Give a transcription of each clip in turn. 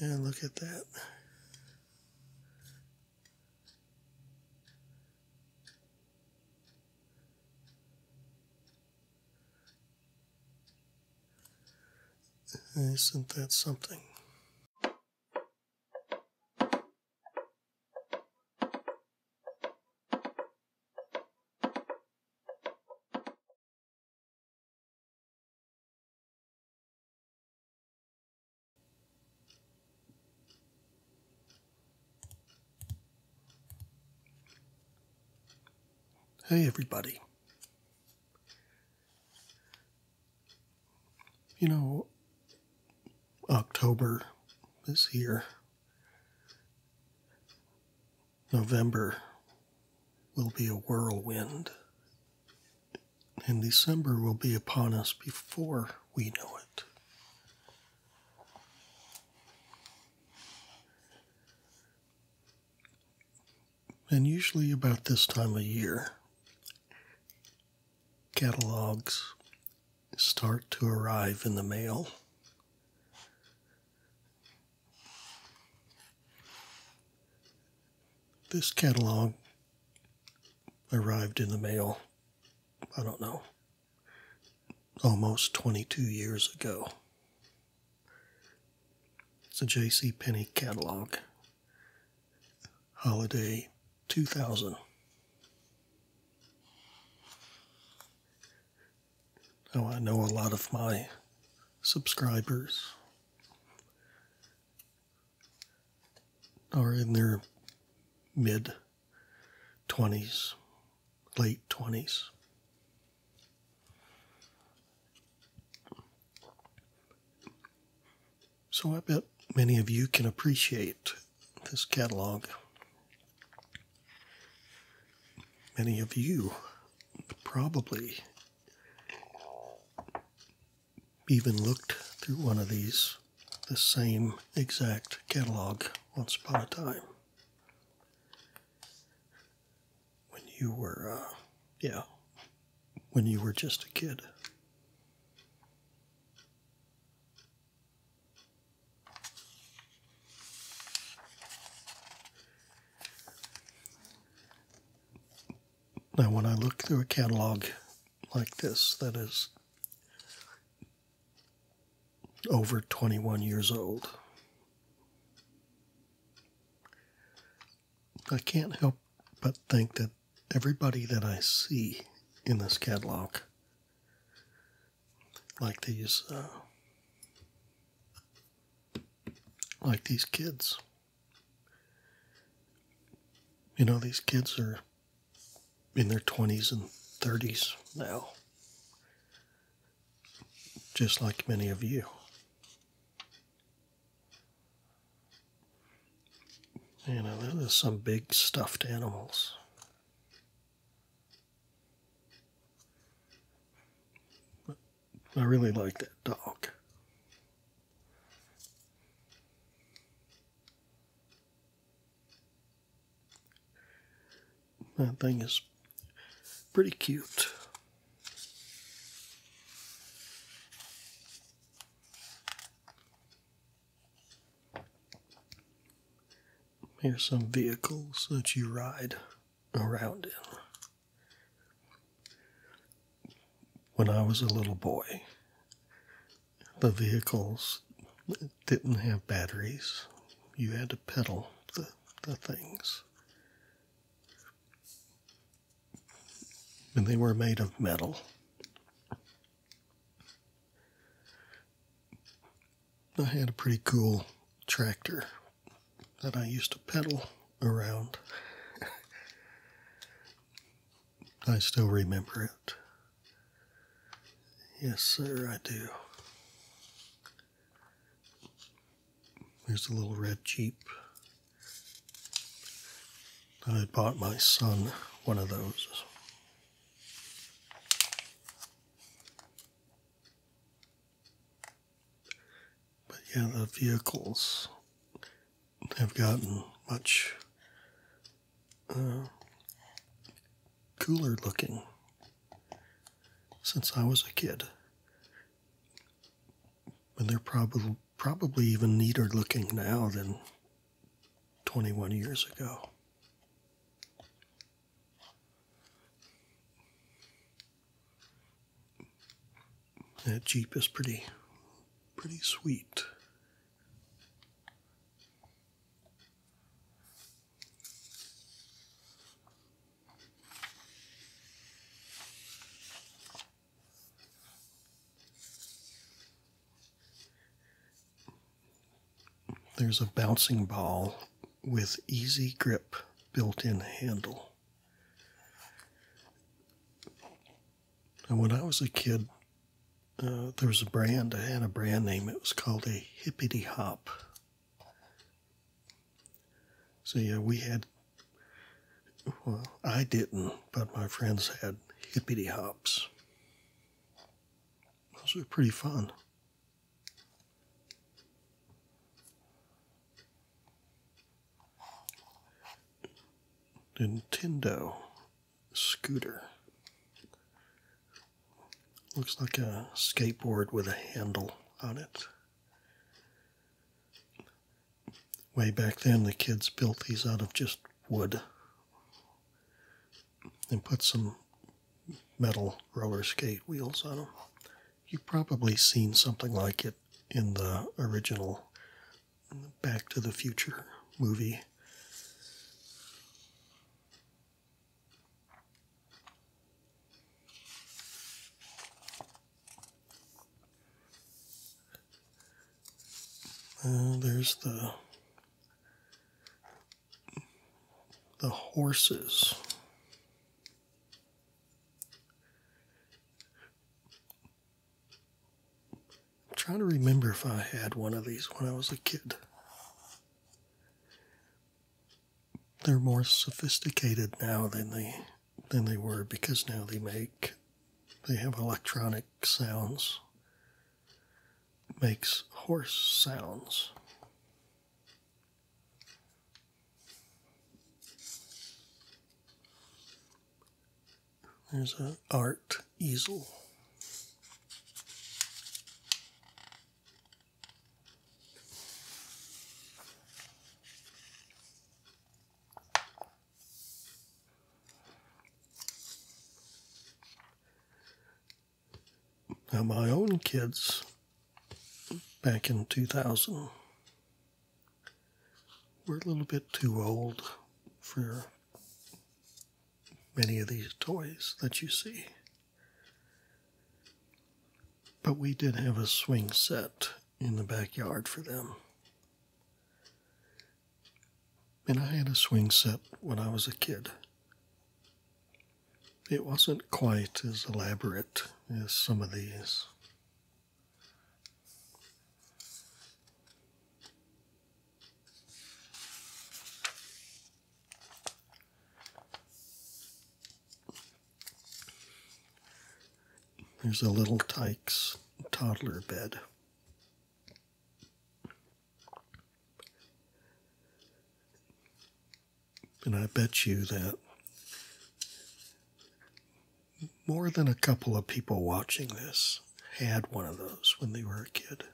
And look at that. Isn't that something? Hey, everybody. You know, October is here. November will be a whirlwind and December will be upon us before we know it. And usually, about this time of year, catalogs start to arrive in the mail. This catalog arrived in the mail, I don't know, almost 22 years ago. It's a J.C. Penney catalog, holiday 2000. Now I know a lot of my subscribers are in their mid 20s, late 20s. So I bet many of you can appreciate this catalog. Many of you probably even looked through one of these, the same exact catalog, once upon a time. When you were, uh, yeah, when you were just a kid. Now, when I look through a catalog like this that is over 21 years old, I can't help but think that everybody that I see in this catalog, like these, uh, like these kids, you know, these kids are in their 20s and 30s now, just like many of you. You know, there's some big stuffed animals. I really like that dog. That thing is pretty cute. Here's some vehicles that you ride around in. When I was a little boy, the vehicles didn't have batteries. You had to pedal the, things. And they were made of metal. I had a pretty cool tractor that I used to pedal around. I still remember it. Yes, sir, I do. There's a little red Jeep. I bought my son one of those. But yeah, the vehicles have gotten much uh, cooler looking since I was a kid. And they're probably probably even neater looking now than 21 years ago. That Jeep is pretty, pretty sweet. There's a bouncing ball with easy grip built-in handle. And when I was a kid, uh, there was a brand, I had a brand name. It was called a Hippity Hop. So, yeah, we had, well, I didn't, but my friends had Hippity Hops. Those were pretty fun. Nintendo scooter. Looks like a skateboard with a handle on it. Way back then, the kids built these out of just wood and put some metal roller skate wheels on them. You've probably seen something like it in the original Back to the Future movie. Oh, there's the the horses. I'm trying to remember if I had one of these when I was a kid. They're more sophisticated now than they than they were because now they make they have electronic sounds. Makes horse sounds. There's an art easel. Now, my own kids back in 2000 we're a little bit too old for many of these toys that you see. But we did have a swing set in the backyard for them. And I had a swing set when I was a kid. It wasn't quite as elaborate as some of these, there's a little Tyke's toddler bed. And I bet you that more than a couple of people watching this had one of those when they were a kid.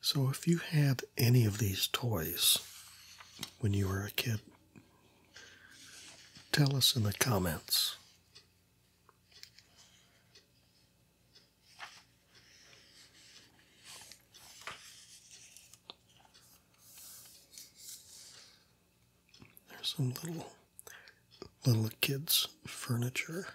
So, if you had any of these toys when you were a kid, tell us in the comments. There's some little little kids furniture.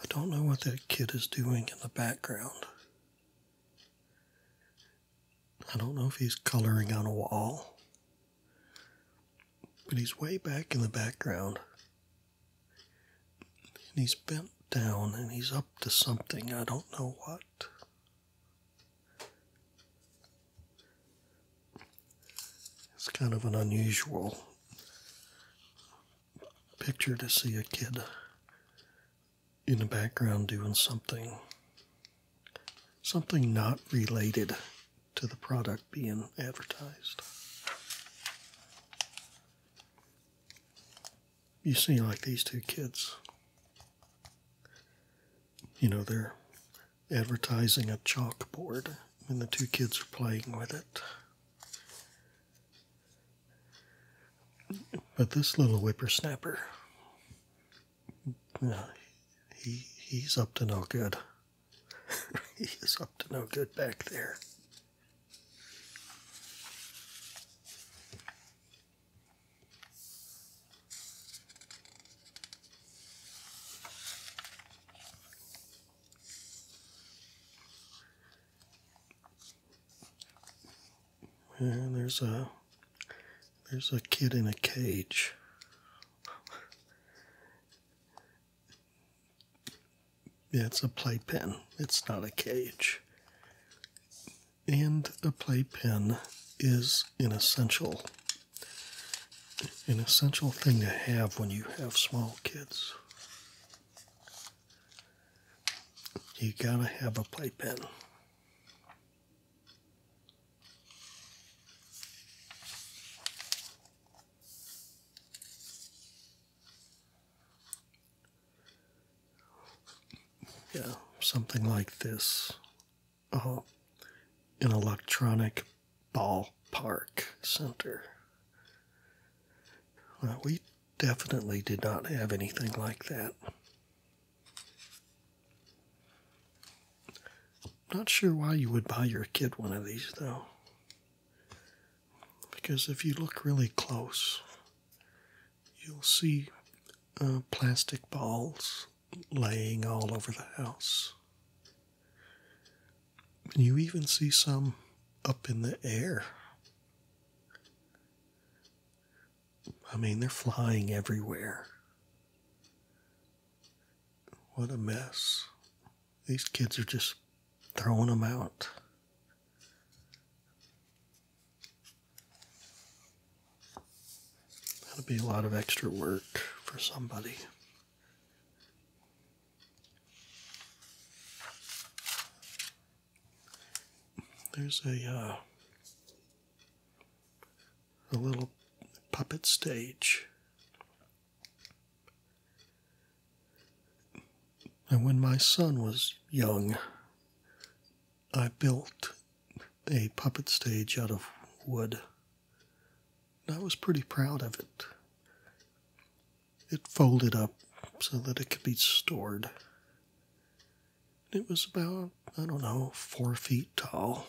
I don't know what that kid is doing in the background. I don't know if he's coloring on a wall but he's way back in the background. And he's bent down and he's up to something. I don't know what. It's kind of an unusual picture to see a kid in the background doing something something not related to the product being advertised. You see, like these two kids, you know, they're advertising a chalkboard and the two kids are playing with it. But this little whippersnapper, yeah, uh, he, he's up to no good. he is up to no good back there. And there's a there's a kid in a cage. It's a playpen, it's not a cage. And a playpen is an essential an essential thing to have when you have small kids. You gotta have a playpen. Yeah, something like this. Uh, an electronic ball park center. we definitely did not have anything like that. Not sure why you would buy your kid one of these though. Because if you look really close, you'll see uh, plastic balls laying all over the house. you even see some up in the air. I mean, they're flying everywhere. What a mess. These kids are just throwing them out. That'll be a lot of extra work for somebody. There's a uh, a little puppet stage and when my son was young, I built a puppet stage out of wood. I was pretty proud of it. It folded up so that it could be stored. It was about, I don't know, four feet tall.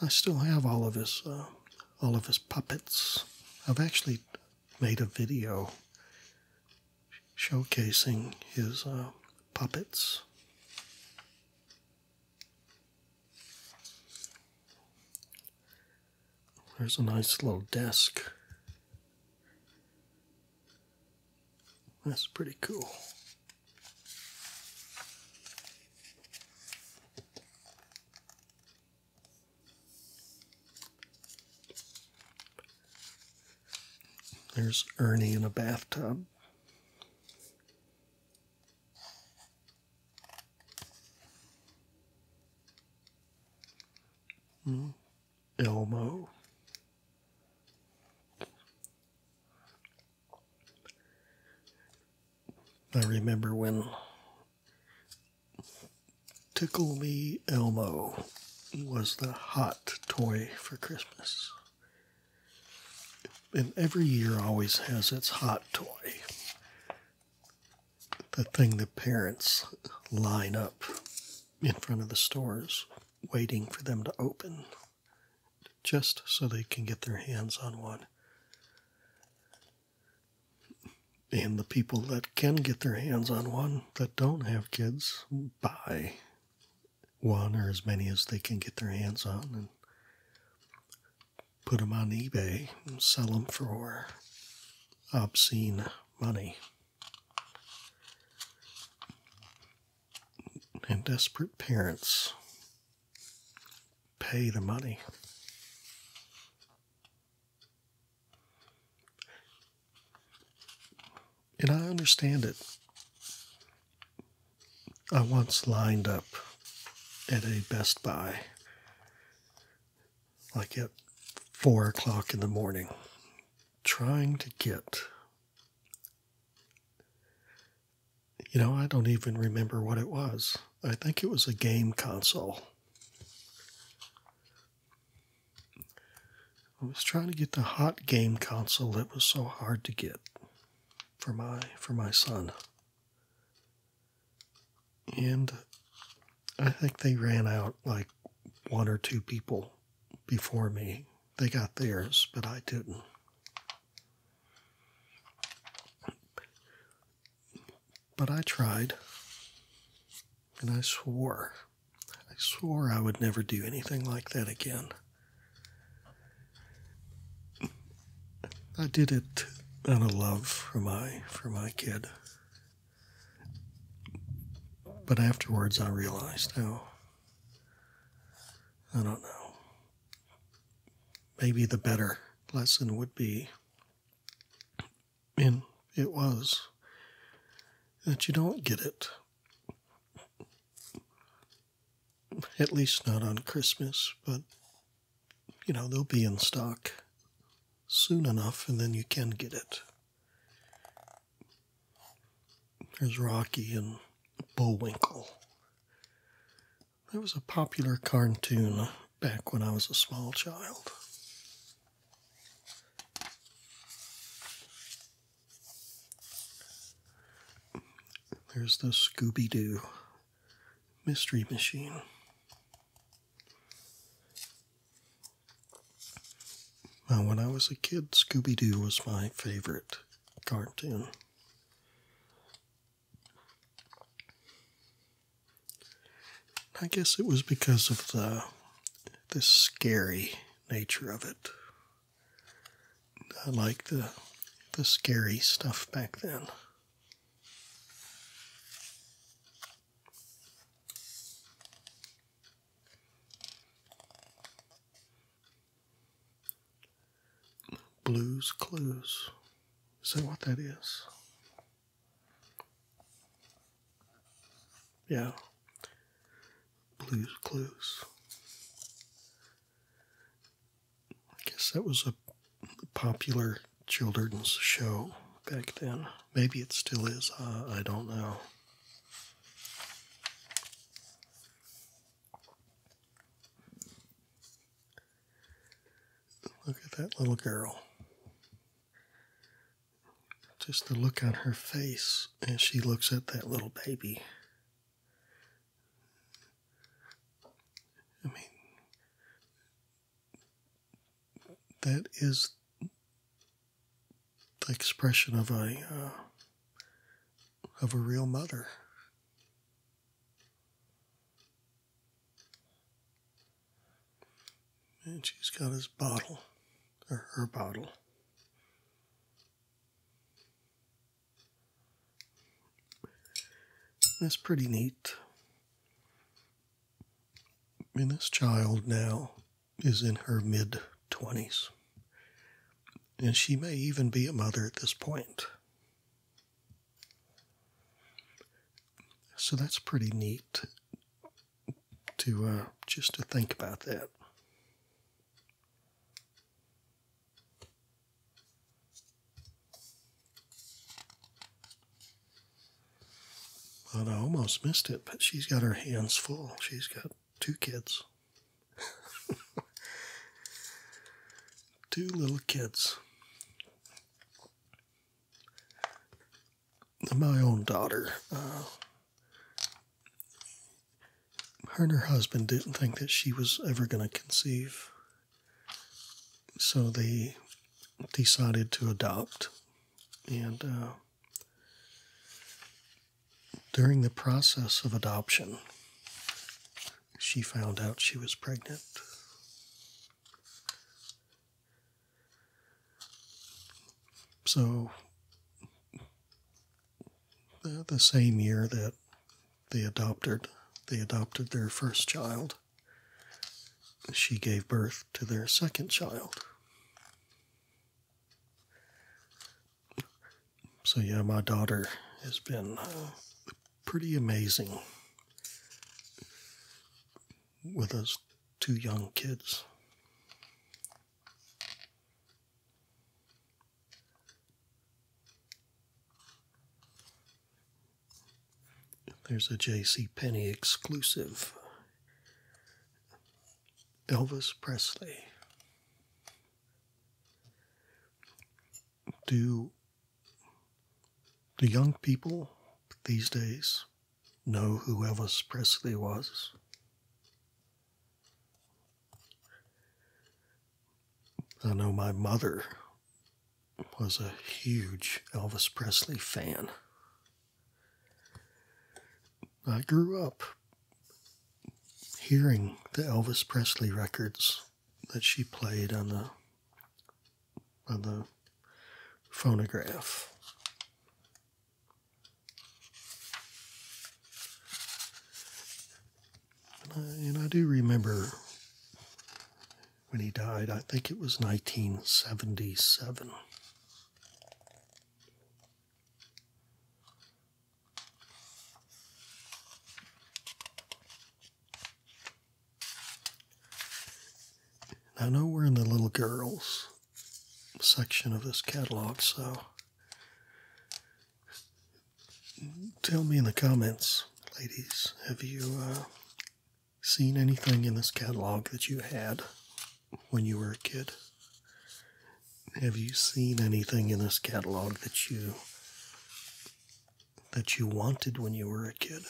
I still have all of his uh, all of his puppets. I've actually made a video showcasing his uh, puppets. There's a nice little desk that's pretty cool. There's Ernie in a bathtub. Mm. Elmo. I remember when Tickle Me Elmo was the hot toy for Christmas. And every year always has its hot toy. The thing the parents line up in front of the stores waiting for them to open just so they can get their hands on one. And the people that can get their hands on one that don't have kids buy one or as many as they can get their hands on and put them on eBay and sell them for obscene money. And desperate parents pay the money. And I understand it. I once lined up at a Best Buy like at four o'clock in the morning trying to get. You know, I don't even remember what it was. I think it was a game console. I was trying to get the hot game console that was so hard to get for my for my son. And I think they ran out like one or two people before me. They got theirs, but I didn't. But I tried, and I swore. I swore I would never do anything like that again. I did it out of love for my for my kid. But afterwards, I realized, oh, I don't know. Maybe the better lesson would be, and it was, that you don't get it. At least not on Christmas, but, you know, they'll be in stock soon enough, and then you can get it. There's Rocky and Bullwinkle. That was a popular cartoon back when I was a small child. There's the Scooby Doo Mystery Machine. Now, when I was a kid, Scooby Doo was my favorite cartoon. I guess it was because of the the scary nature of it. I liked the the scary stuff back then. Blues Clues. Is that what that is? Yeah. Blues Clues. I guess that was a popular children's show back then. Maybe it still is. I don't know. Look at that little girl. Just the look on her face as she looks at that little baby. I mean, that is the expression of a uh, of a real mother. And she's got his bottle, or her bottle. That's pretty neat. in this child now is in her mid 20s. And she may even be a mother at this point. So that's pretty neat to uh, just to think about that. Well, I almost missed it, but she's got her hands full. She's got two kids. two little kids. My own daughter, uh, her and her husband didn't think that she was ever going to conceive. So they decided to adopt. And uh, during the process of adoption, she found out she was pregnant. So, the, same year that they adopted, they adopted their first child. She gave birth to their second child. So, yeah, my daughter has been uh, pretty amazing with us two young kids. There's a J.C. Penney exclusive. Elvis Presley. Do the young people these days know who Elvis Presley was? I know my mother was a huge Elvis Presley fan. I grew up hearing the Elvis Presley records that she played on the on the phonograph. And I, and I do remember when he died, I think it was 1977. I know we're in the little girls section of this catalog, so tell me in the comments, ladies, have you uh, seen anything in this catalog that you had when you were a kid? Have you seen anything in this catalog that you that you wanted when you were a kid?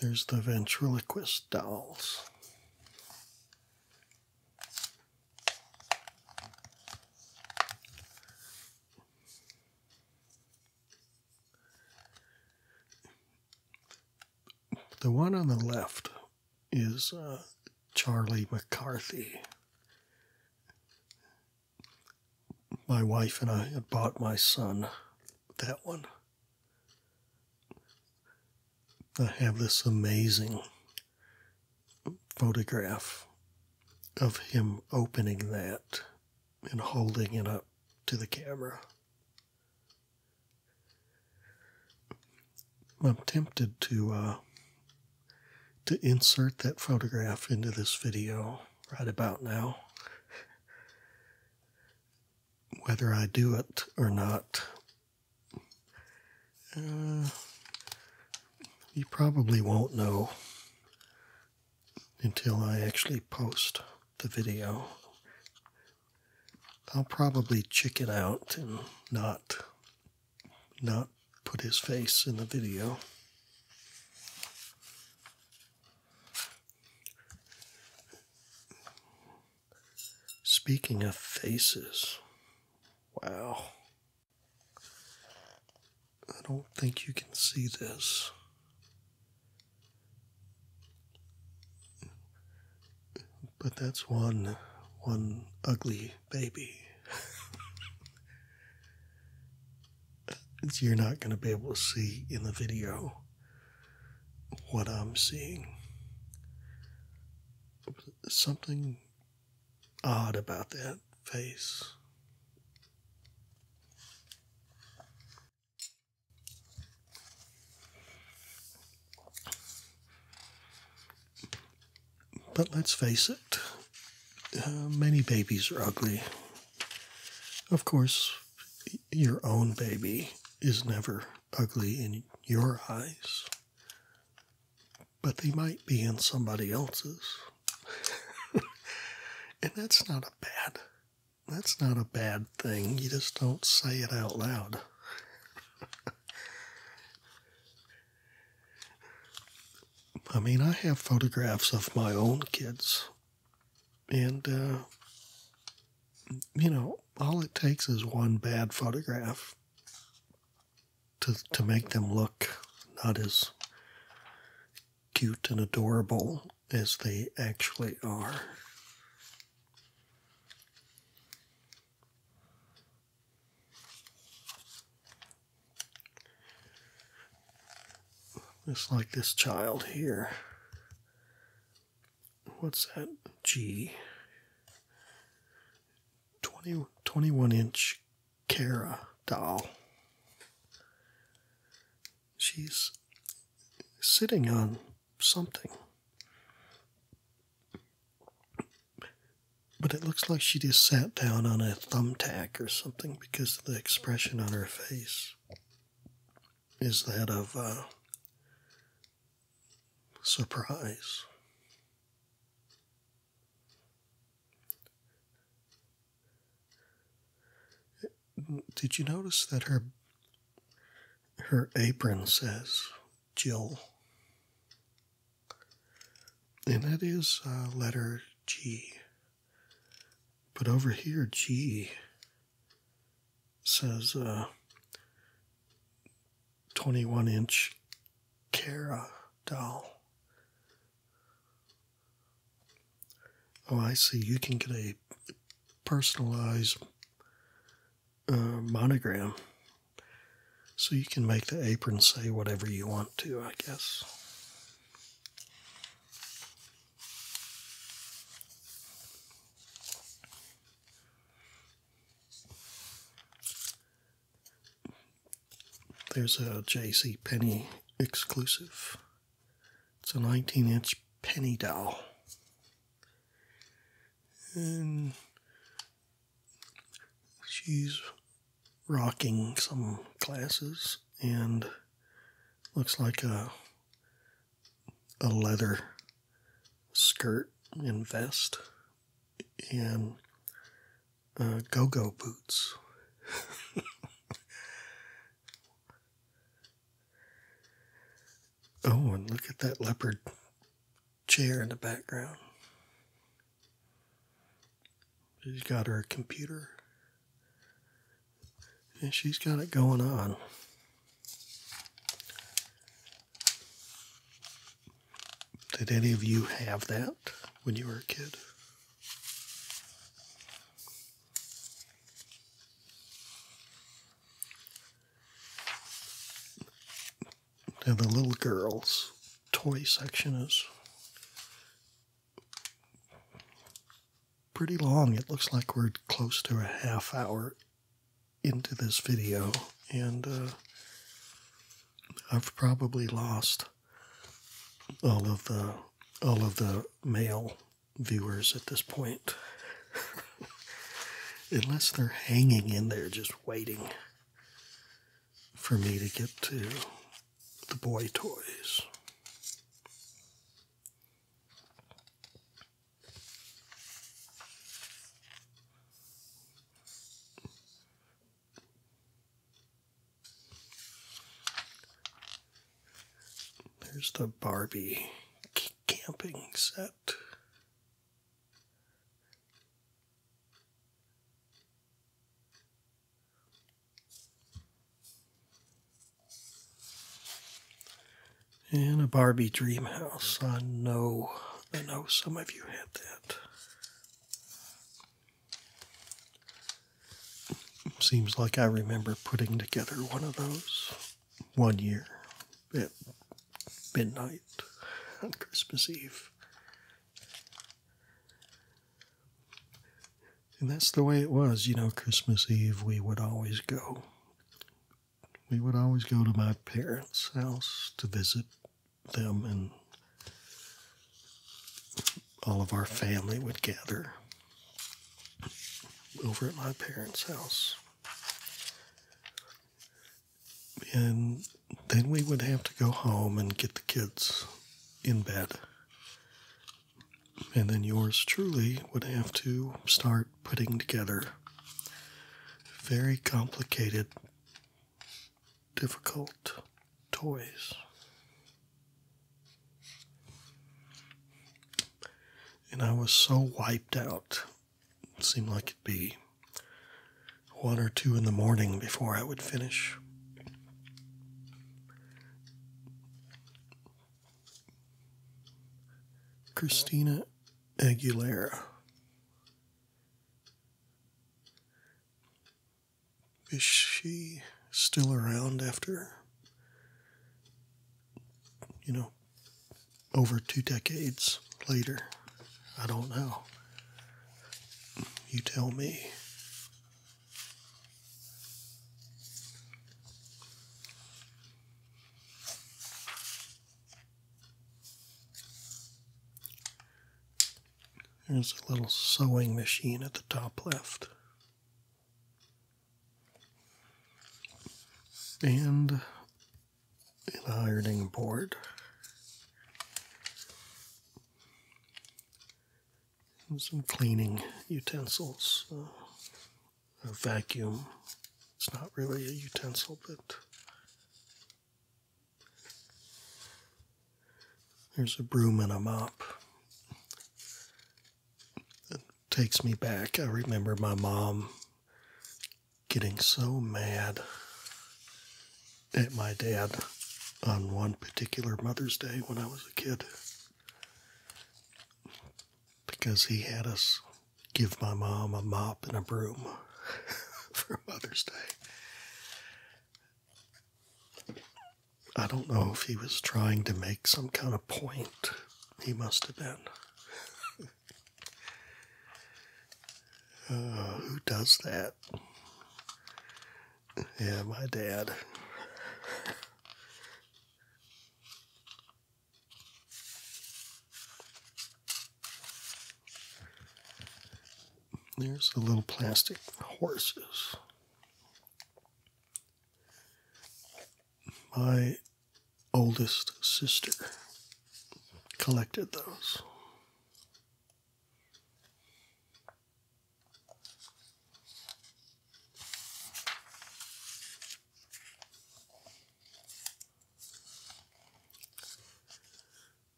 There's the ventriloquist dolls. The one on the left is uh, Charlie McCarthy. My wife and I had bought my son that one. I have this amazing photograph of him opening that and holding it up to the camera. I'm tempted to uh, to insert that photograph into this video right about now. Whether I do it or not uh, you probably won't know until I actually post the video. I'll probably chicken out and not not put his face in the video. Speaking of faces, Wow. I don't think you can see this. But that's one one ugly baby. You're not going to be able to see in the video what I'm seeing. Something odd about that face. But let's face it, uh, many babies are ugly. Of course, your own baby is never ugly in your eyes but they might be in somebody else's. and that's not a bad that's not a bad thing. You just don't say it out loud. I mean, I have photographs of my own kids. And, uh, you know, all it takes is one bad photograph to to make them look not as cute and adorable as they actually are. Just like this child here. What's that? G. 20, 21 inch Cara doll. She's sitting on something. But it looks like she just sat down on a thumbtack or something because the expression on her face is that of uh, surprise. Did you notice that her her apron says Jill? And that is uh, letter G. But over here, G says uh, 21 inch Cara doll. Oh, I see. You can get a personalized uh, monogram. So you can make the apron say whatever you want to, I guess. There's a J.C. Penney exclusive. It's a 19-inch penny doll, and she's rocking some glasses and looks like a a leather skirt and vest and uh, go go boots. oh, and look at that leopard chair in the background. She's got her computer and she's got it going on. Did any of you have that when you were a kid? And the little girls' toy section is pretty long. It looks like we're close to a half hour into this video, and uh, I've probably lost all of the all of the male viewers at this point. Unless they're hanging in there just waiting for me to get to the boy toys. There's the Barbie camping set. And a Barbie dream house. I know, I know some of you had that. Seems like I remember putting together one of those one year at midnight on Christmas Eve. And that's the way it was, you know, Christmas Eve, we would always go. We would always go to my parents' house to visit them, and all of our family would gather over at my parents' house. And then we would have to go home and get the kids in bed. And then yours truly would have to start putting together very complicated difficult toys. And I was so wiped out. It seemed like it'd be one or two in the morning before I would finish. Christina Aguilera. Is she still around after, you know, over two decades later? I don't know. You tell me. There's a little sewing machine at the top left. And an ironing board. And some cleaning utensils. Uh, a vacuum. It's not really a utensil, but there's a broom and a mop. That takes me back. I remember my mom getting so mad at my dad on one particular Mother's Day when I was a kid because he had us give my mom a mop and a broom for Mother's Day. I don't know if he was trying to make some kind of point. He must have been. Uh, who does that? Yeah, my dad. There's the little plastic horses. My oldest sister collected those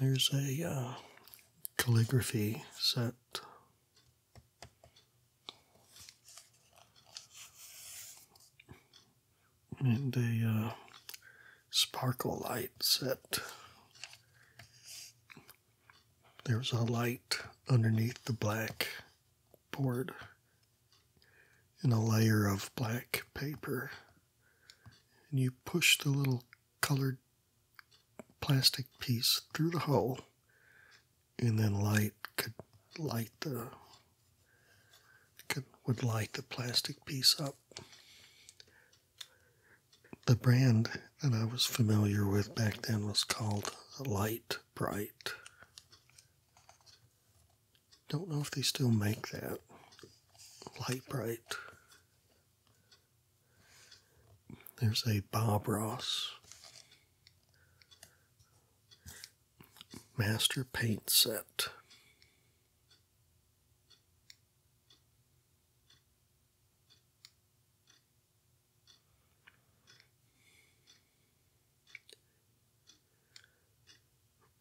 there's a uh, calligraphy set. And a uh, sparkle light set. There's a light underneath the black board in a layer of black paper. And you push the little colored plastic piece through the hole, and then light could light the could would light the plastic piece up. The brand that I was familiar with back then was called Light Bright. Don't know if they still make that. Light Bright. There's a Bob Ross master paint set.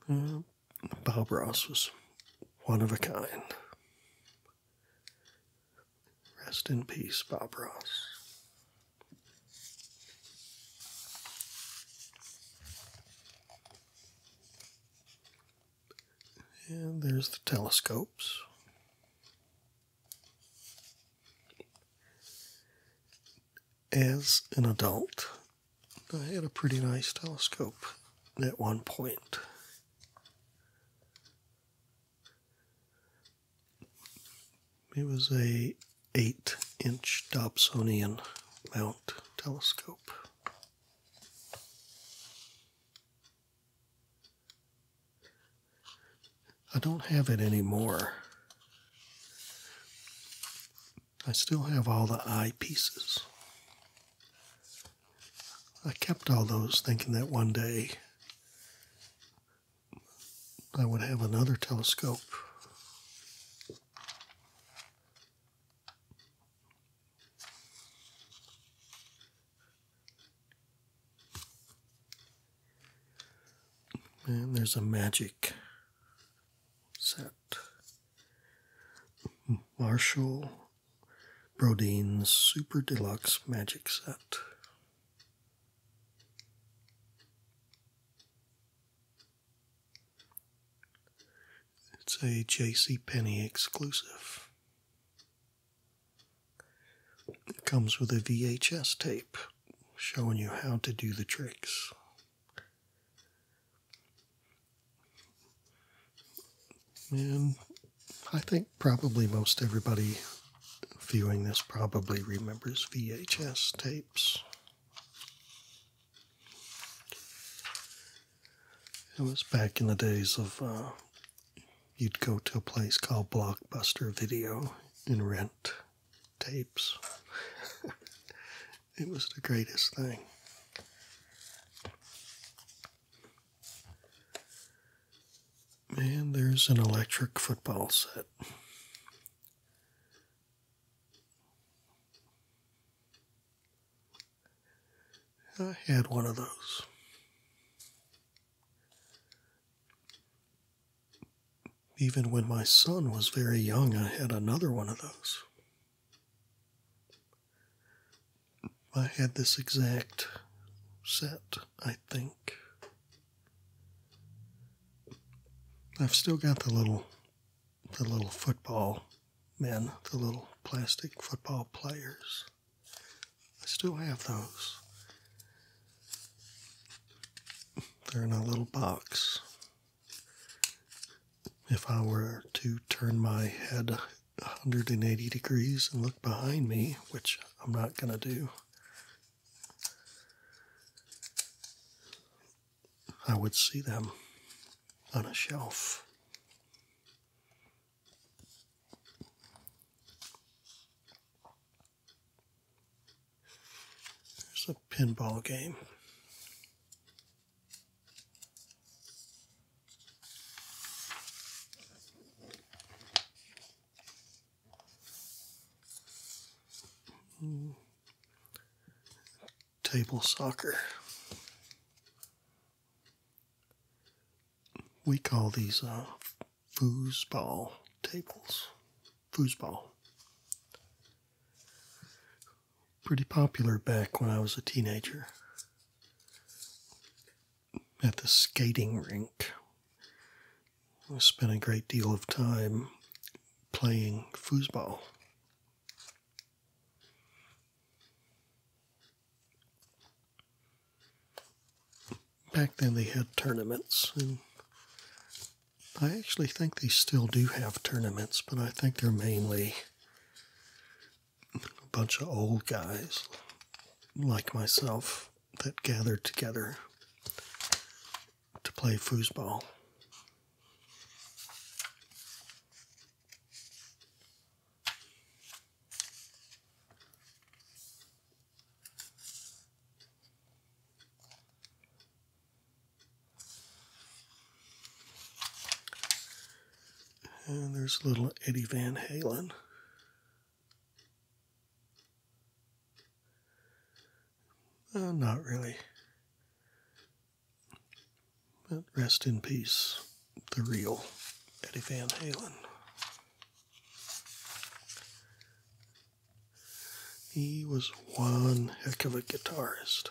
Uh, Bob Ross was one of a kind. Rest in peace, Bob Ross. And there's the telescopes. As an adult, I had a pretty nice telescope at one point. It was a eight inch Dobsonian mount telescope. I don't have it anymore. I still have all the eyepieces. I kept all those thinking that one day I would have another telescope. And there's a magic set. Marshall Brodeen's Super Deluxe Magic Set. It's a J.C. Penny exclusive. It comes with a VHS tape showing you how to do the tricks and I think probably most everybody viewing this probably remembers VHS tapes. It was back in the days of uh, you'd go to a place called Blockbuster Video and rent tapes. it was the greatest thing. And there's an electric football set. I had one of those. Even when my son was very young, I had another one of those. I had this exact set, I think. I've still got the little the little football men, the little plastic football players. I still have those. They're in a little box. If I were to turn my head 180 degrees and look behind me, which I'm not going to do. I would see them on a shelf. There's a pinball game. Table soccer. We call these uh, foosball tables. Foosball. Pretty popular back when I was a teenager at the skating rink. I spent a great deal of time playing foosball. Back then, they had tournaments, and I actually think they still do have tournaments, but I think they're mainly a bunch of old guys like myself that gathered together to play foosball. And there's little Eddie Van Halen not really. But rest in peace, the real Eddie Van Halen. He was one heck of a guitarist.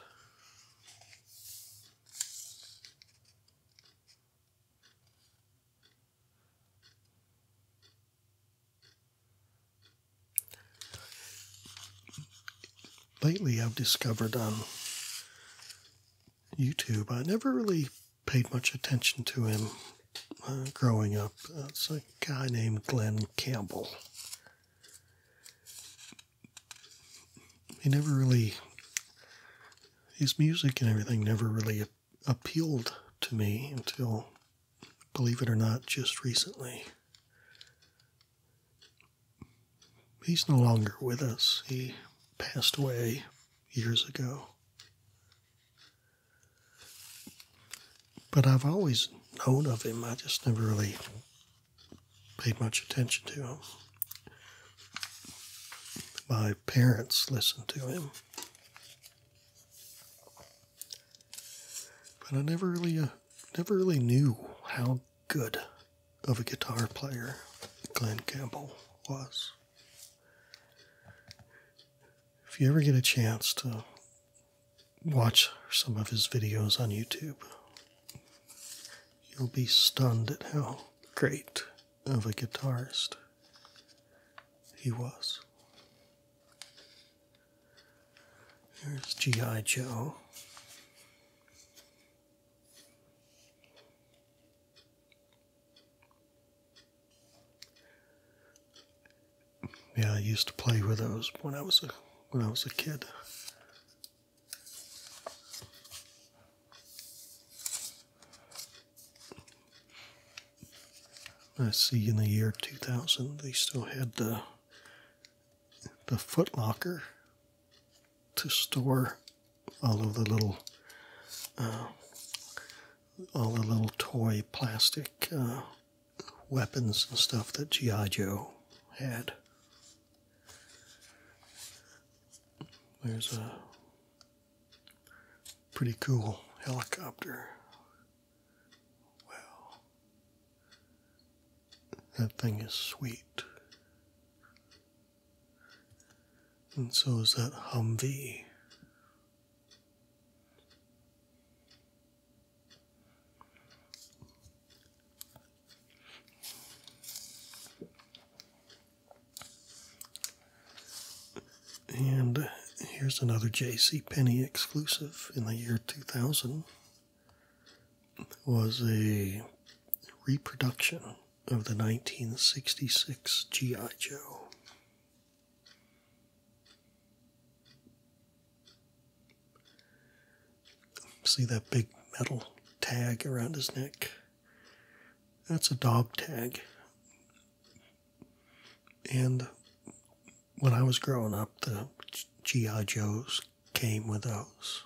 Lately, I've discovered on YouTube, I never really paid much attention to him uh, growing up. Uh, it's a guy named Glenn Campbell. He never really, his music and everything never really appealed to me until, believe it or not, just recently. He's no longer with us. He passed away years ago. But I've always known of him. I just never really paid much attention to him. My parents listened to him but I never really, uh, never really knew how good of a guitar player Glenn Campbell was. If you ever get a chance to watch some of his videos on YouTube, you'll be stunned at how great of a guitarist he was. Here's G.I. Joe. Yeah, I used to play with those when I was a when I was a kid. I see in the year 2000 they still had the the foot locker to store all of the little uh, all the little toy plastic uh, weapons and stuff that GI had. There's a Pretty cool helicopter. Wow. That thing is sweet. And so is that Humvee. And here's another J.C. Penney exclusive in the year 2000. was a reproduction of the 1966 GI Joe. See that big metal tag around his neck? That's a dog tag. And when I was growing up, the G.I. came with those.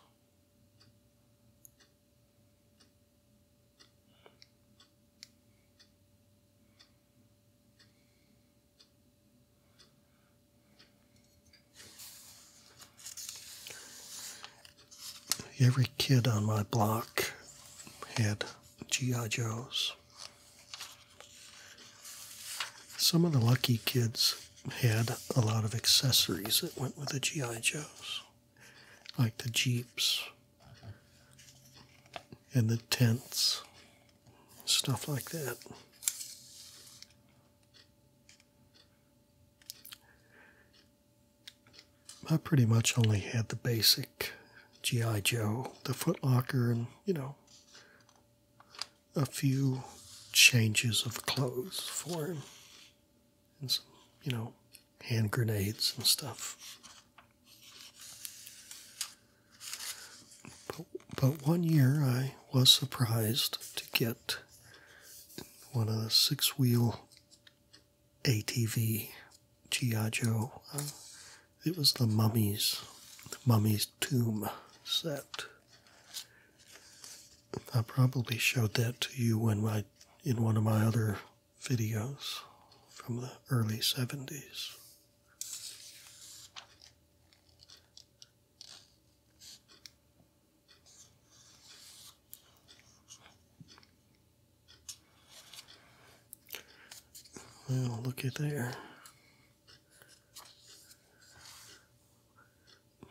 Every kid on my block had G.I. Some of the lucky kids had a lot of accessories that went with the G.I. Joes, like the Jeeps and the tents, stuff like that. I pretty much only had the basic G.I. Joe, the Footlocker, and, you know, a few changes of clothes for him. And some, you know, hand grenades and stuff. But, but one year I was surprised to get one of the six wheel ATV G.I. Joe. Uh, it was the Mummy's, Mummy's Tomb set. I probably showed that to you when I, in one of my other videos from the early 70s. Well, looky at there.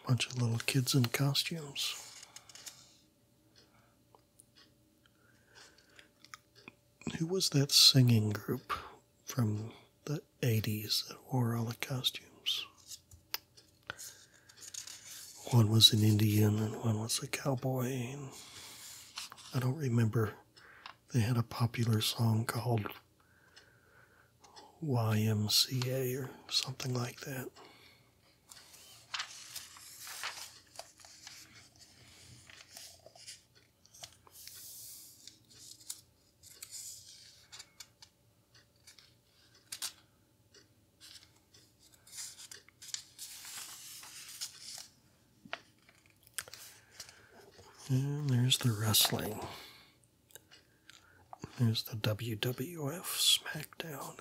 Bunch of little kids in costumes. Who was that singing group from the 80s that wore all the costumes? One was an Indian and one was a cowboy. I don't remember they had a popular song called YMCA or something like that. And there's the wrestling. There's the WWF SmackDown.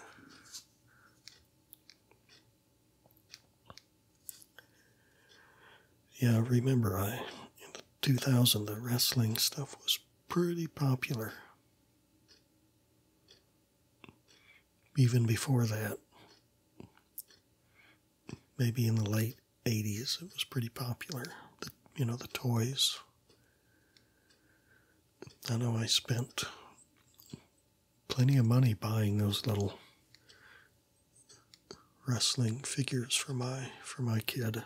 Yeah, remember I in 2000 the wrestling stuff was pretty popular. Even before that, maybe in the late 80s it was pretty popular the, you know the toys i know i spent plenty of money buying those little wrestling figures for my for my kid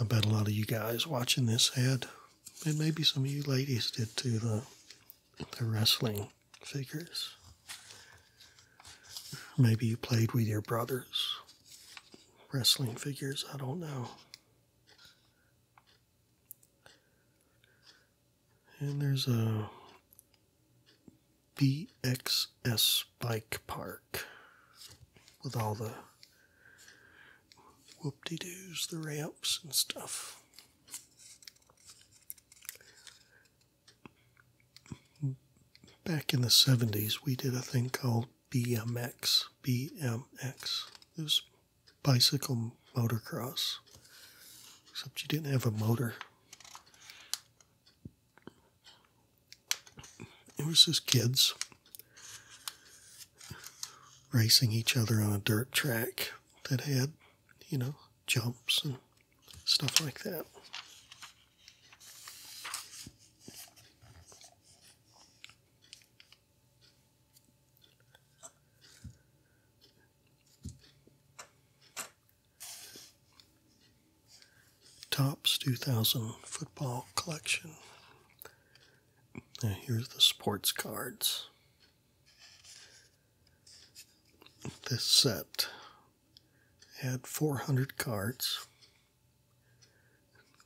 I bet a lot of you guys watching this had, and maybe some of you ladies did too, the, the wrestling figures. Maybe you played with your brothers. Wrestling figures, I don't know. And there's a BXS bike park with all the whoop de doos, the ramps, and stuff. Back in the 70s, we did a thing called BMX. BMX. It was bicycle motocross, except you didn't have a motor. It was just kids racing each other on a dirt track that had, you know, jumps and stuff like that. Topps 2000 football collection. Now, here's the sports cards. This set had 400 cards.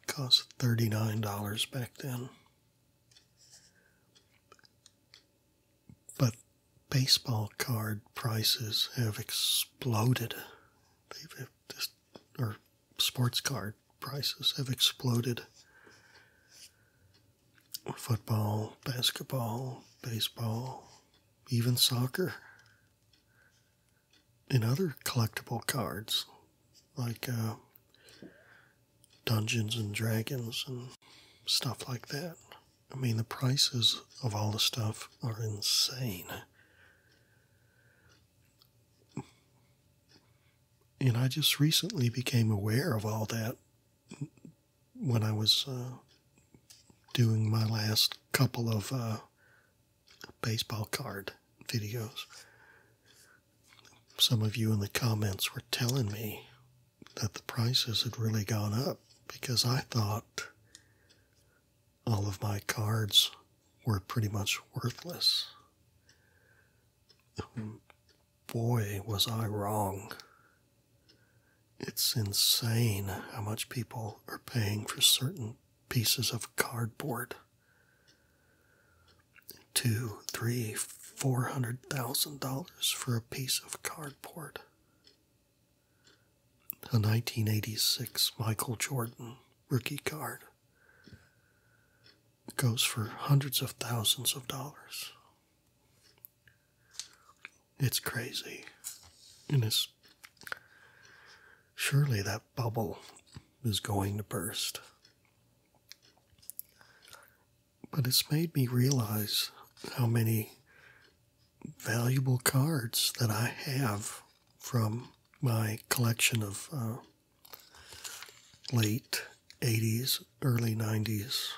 It cost $39 back then but baseball card prices have exploded. They've just, or sports card prices have exploded. Football, basketball, baseball, even soccer, and other collectible cards like uh, Dungeons and Dragons and stuff like that. I mean, the prices of all the stuff are insane. And I just recently became aware of all that when I was uh, doing my last couple of uh, baseball card videos. Some of you in the comments were telling me that the prices had really gone up because I thought all of my cards were pretty much worthless. Boy, was I wrong. It's insane how much people are paying for certain pieces of cardboard. Two, three, four hundred thousand dollars for a piece of cardboard a 1986 Michael Jordan rookie card. goes for hundreds of thousands of dollars. It's crazy. And it's surely that bubble is going to burst. But it's made me realize how many valuable cards that I have from my collection of uh, late 80s, early 90s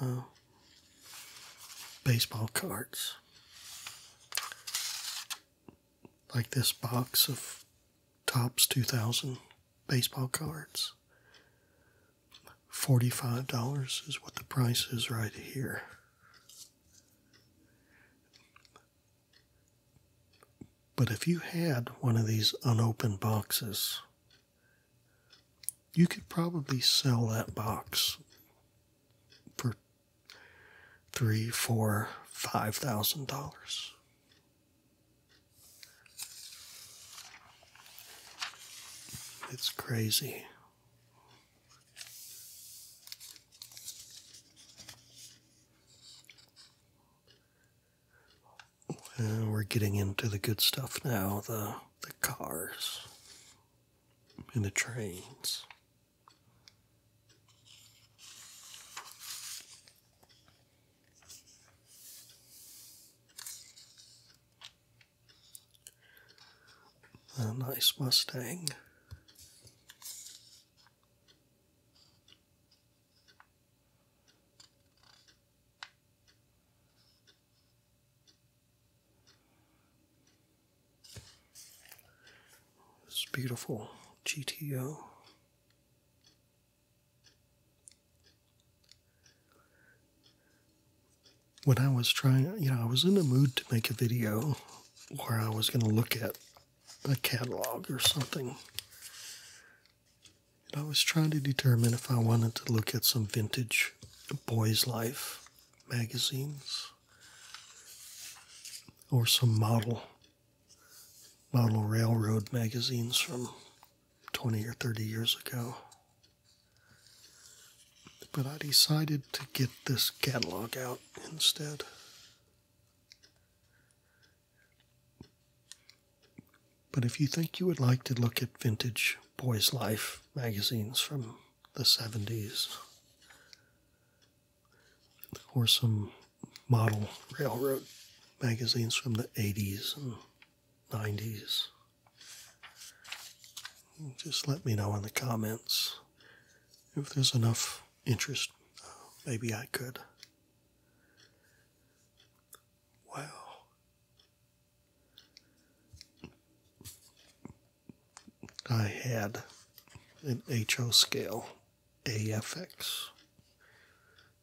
uh, baseball cards. Like this box of Topps 2000 baseball cards. $45 is what the price is right here. But if you had one of these unopened boxes, you could probably sell that box for three, four, five thousand dollars. It's crazy we're getting into the good stuff now the, the cars and the trains. A nice Mustang. This beautiful GTO when I was trying, you know, I was in a mood to make a video where I was going to look at a catalog or something. I was trying to determine if I wanted to look at some vintage Boys Life magazines or some model model railroad magazines from 20 or 30 years ago. But I decided to get this catalog out instead. But if you think you would like to look at vintage Boys Life magazines from the 70s, or some model railroad magazines from the 80s and 90s, just let me know in the comments if there's enough interest. maybe I could. Wow. I had an HO scale AFX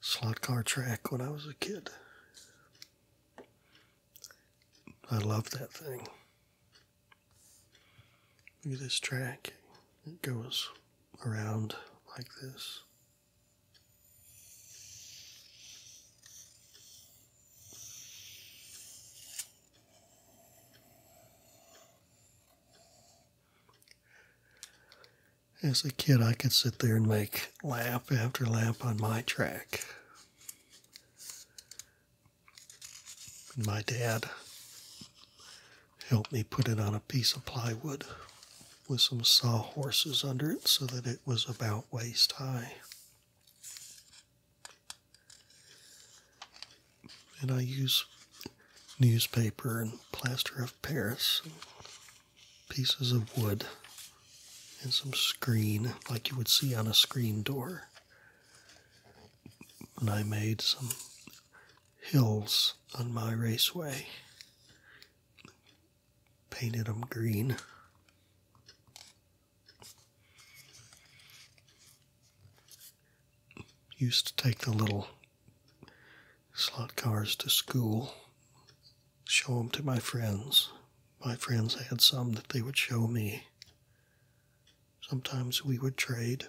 slot car track when I was a kid. I love that thing. Look at this track. It goes around like this. As a kid, I could sit there and make lap after lap on my track. And my dad helped me put it on a piece of plywood with some sawhorses under it so that it was about waist high. And I use newspaper and plaster of Paris, pieces of wood, and some screen like you would see on a screen door and I made some hills on my raceway, painted them green. Used to take the little slot cars to school, show them to my friends. My friends had some that they would show me. Sometimes we would trade.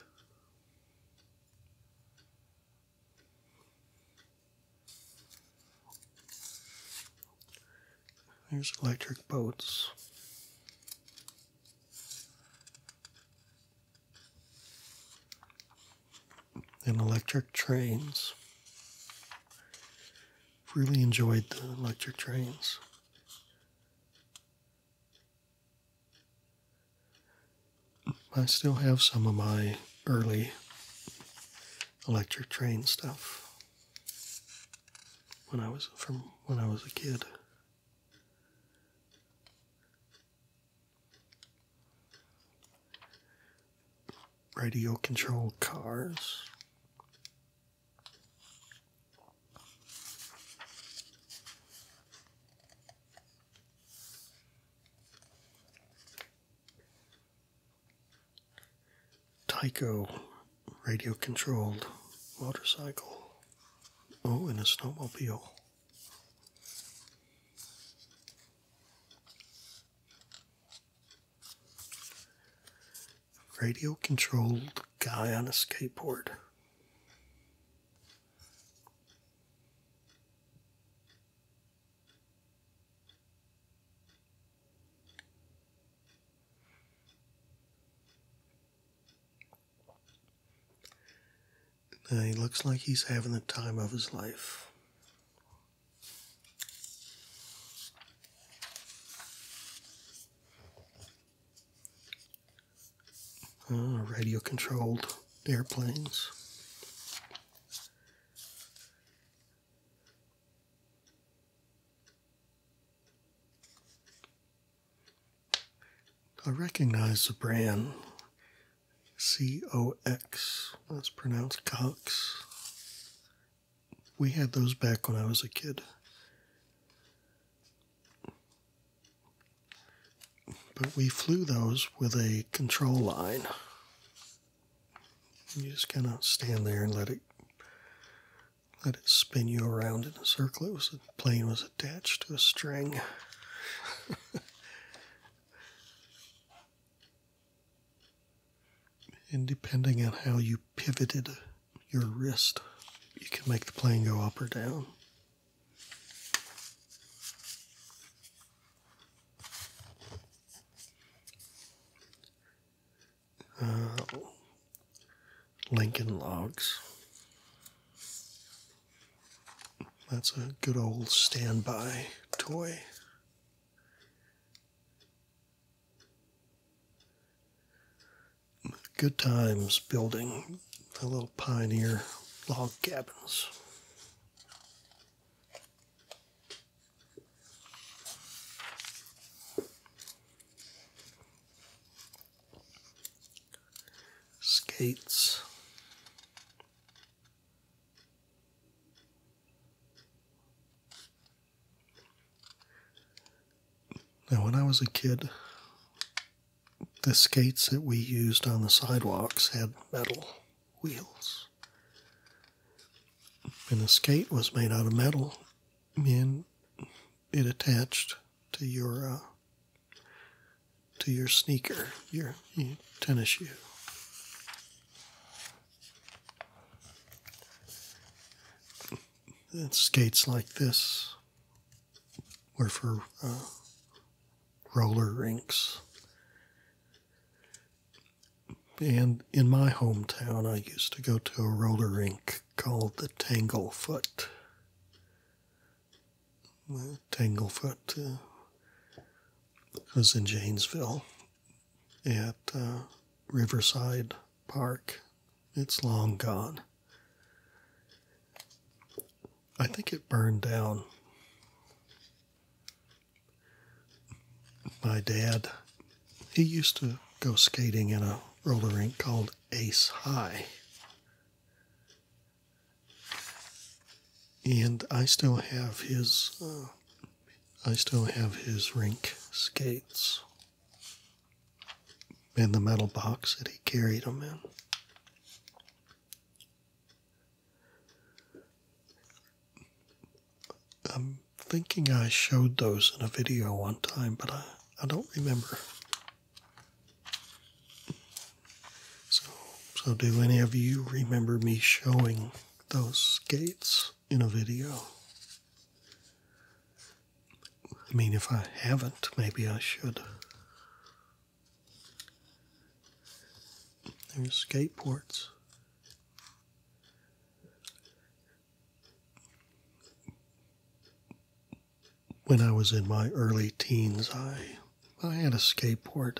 There's electric boats. And electric trains. Really enjoyed the electric trains. I still have some of my early electric train stuff when I was from when I was a kid. Radio controlled cars. Tyco radio controlled motorcycle. Oh, and a snowmobile radio controlled guy on a skateboard. he looks like he's having the time of his life. Ah, radio controlled airplanes. I recognize the brand C O X. That's pronounced Cox. We had those back when I was a kid. But we flew those with a control line. You just kind of stand there and let it let it spin you around in a circle. It was the plane was attached to a string. and depending on how you pivoted your wrist, you can make the plane go up or down. Uh, Lincoln Logs. That's a good old standby toy good times building the little pioneer log cabins. Skates. Now, when I was a kid, the skates that we used on the sidewalks had metal wheels. And the skate was made out of metal, and it attached to your uh, to your sneaker, your, your tennis shoe. And skates like this were for uh, roller rinks. And in my hometown, I used to go to a roller rink called the Tanglefoot. Tanglefoot uh, was in Janesville at uh, Riverside park. It's long gone. I think it burned down. My dad, he used to go skating in a roller rink called Ace High. And I still have his, uh, I still have his rink skates in the metal box that he carried them in. I'm thinking I showed those in a video one time, but I, I don't remember. So, so, do any of you remember me showing those skates in a video? I mean, if I haven't, maybe I should. There's skateboards. When I was in my early teens, I, I had a skateboard.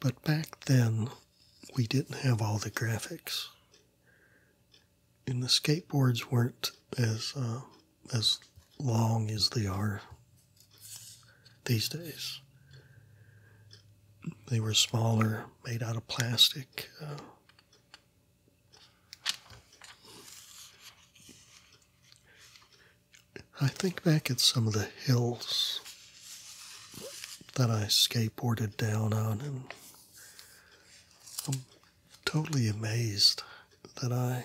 But back then, we didn't have all the graphics and the skateboards weren't as uh, as long as they are these days. They were smaller, made out of plastic. Uh, I think back at some of the hills that I skateboarded down on, and um, totally amazed that I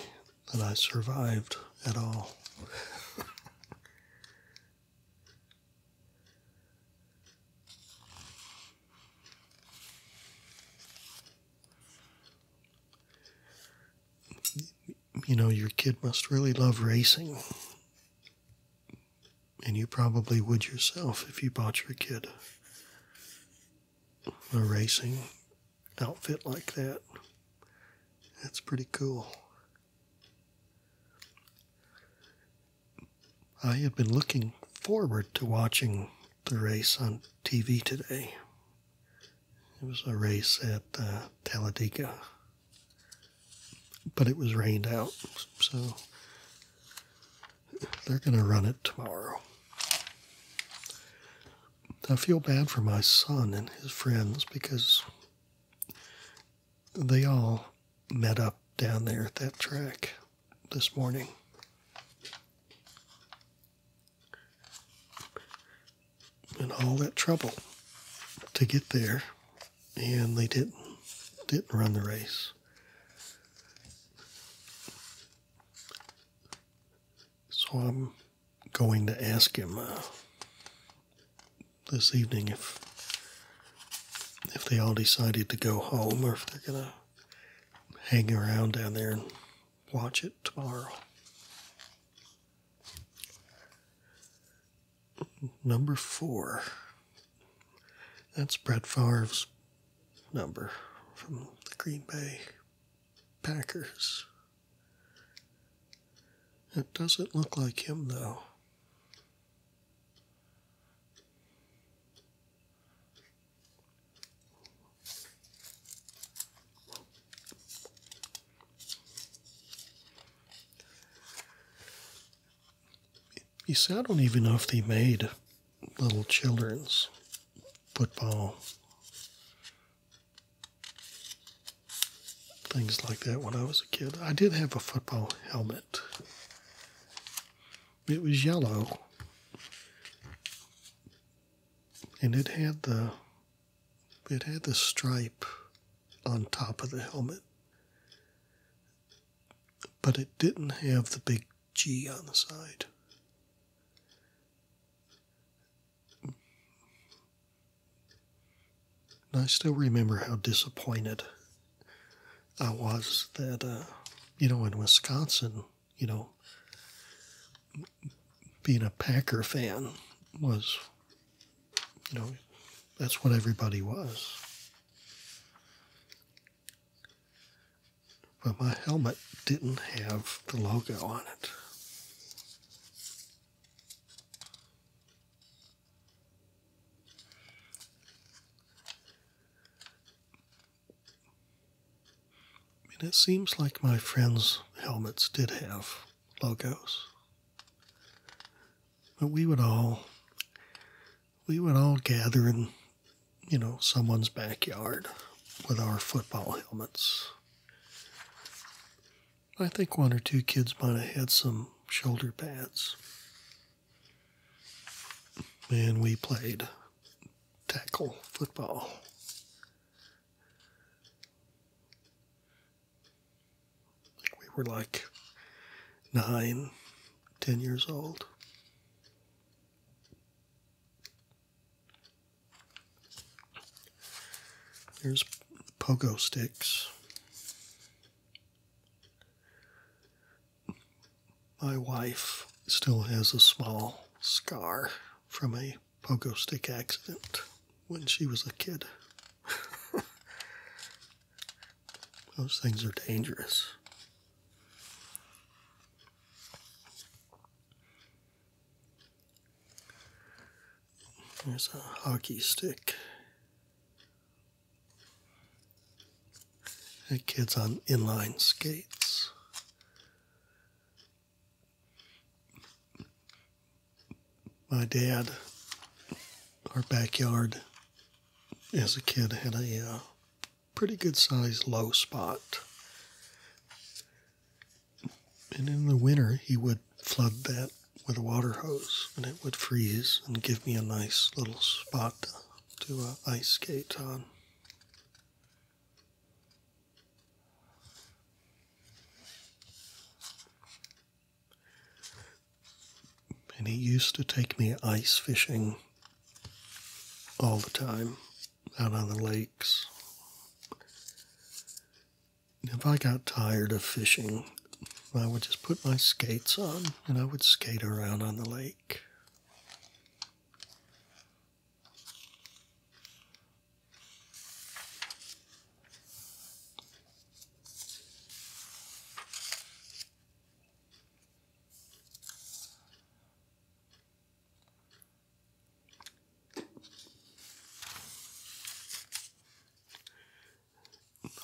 that I survived at all. you know, your kid must really love racing. And you probably would yourself if you bought your kid a racing outfit like that. That's pretty cool. I had been looking forward to watching the race on TV today. It was a race at uh, Talladega, but it was rained out, so they're going to run it tomorrow. I feel bad for my son and his friends because they all met up down there at that track this morning. And all that trouble to get there, and they didn't didn't run the race. So I'm going to ask him uh, this evening if if they all decided to go home or if they're gonna hang around down there and watch it tomorrow. Number four. That's Brett Favre's number from the Green Bay Packers. It doesn't look like him, though. You see, I don't even know if they made little children's football. Things like that when I was a kid. I did have a football helmet. It was yellow. And it had the it had the stripe on top of the helmet. But it didn't have the big G on the side. I still remember how disappointed I was that, uh, you know, in Wisconsin, you know, being a Packer fan was, you know, that's what everybody was but my helmet didn't have the logo on it. And it seems like my friends' helmets did have logos. But we would all we would all gather in, you know, someone's backyard with our football helmets. I think one or two kids might have had some shoulder pads. And we played tackle football. We were like nine, ten years old. There's pogo sticks. My wife still has a small scar from a pogo stick accident when she was a kid. Those things are dangerous. There's a hockey stick. A kid's on inline skates. My dad, our backyard as a kid had a uh, pretty good sized low spot and in the winter he would flood that with a water hose and it would freeze and give me a nice little spot to, uh, ice skate on. And he used to take me ice fishing all the time out on the lakes. If I got tired of fishing, I would just put my skates on and I would skate around on the lake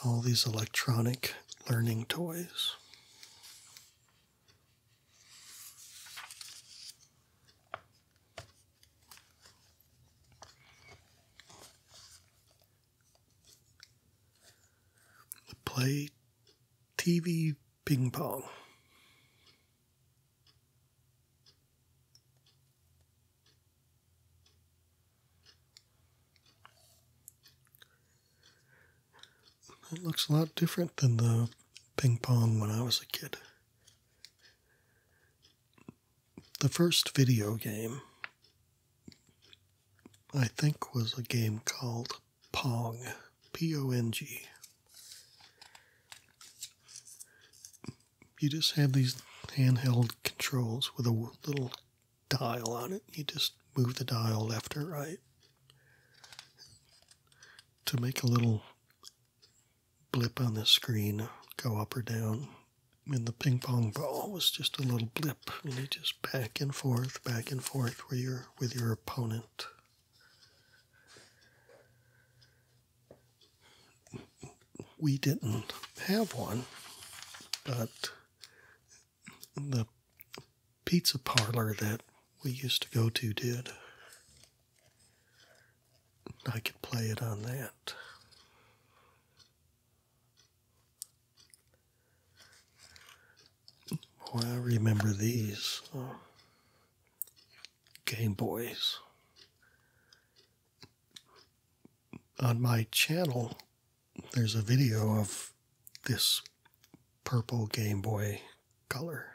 all these electronic learning toys. Play TV ping pong. It looks a lot different than the ping pong when I was a kid. The first video game, I think, was a game called Pong. P O N G you just have these handheld controls with a little dial on it. You just move the dial left or right to make a little blip on the screen go up or down. And the ping pong ball was just a little blip, and you just back and forth, back and forth with your with your opponent we didn't have one, but the pizza parlor that we used to go to did. I could play it on that. Boy, I remember these. Game Boys. On my channel, there's a video of this purple Game Boy color.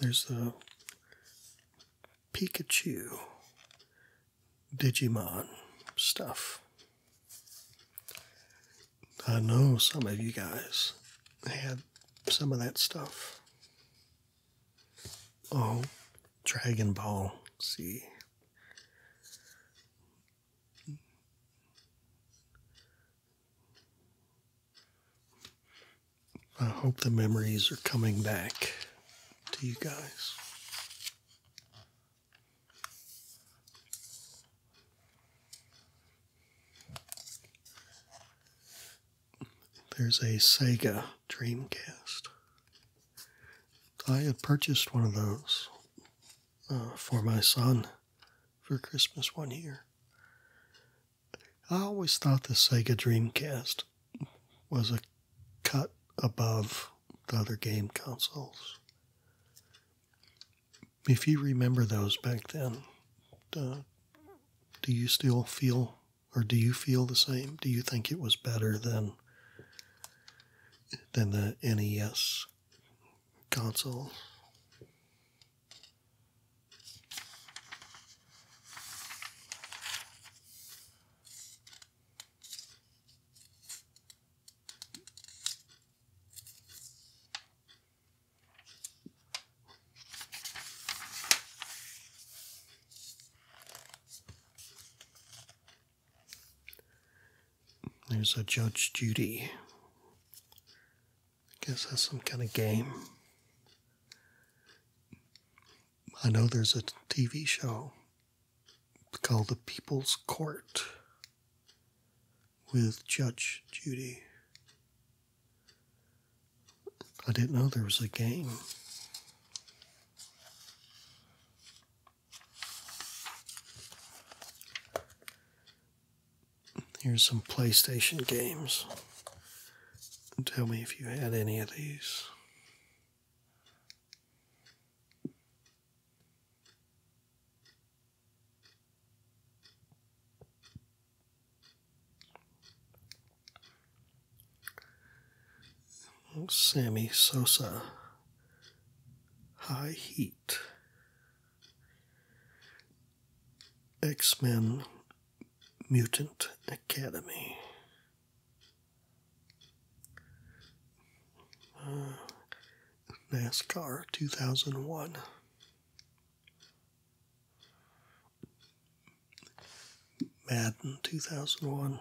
There's the Pikachu Digimon stuff. I know some of you guys have some of that stuff. Oh, Dragon Ball Z. I hope the memories are coming back to you guys. There's a Sega Dreamcast. I had purchased one of those uh, for my son for Christmas one year. I always thought the Sega Dreamcast was a cut above the other game consoles. If you remember those back then, do you still feel or do you feel the same? Do you think it was better than than the NES console. There's a Judge Judy. I guess that's some kind of game. I know there's a TV show called The People's Court with Judge Judy. I didn't know there was a game. Here's some PlayStation games. Tell me if you had any of these. Sammy Sosa. High Heat. X Men Mutant Academy. Uh, NASCAR 2001. Madden 2001.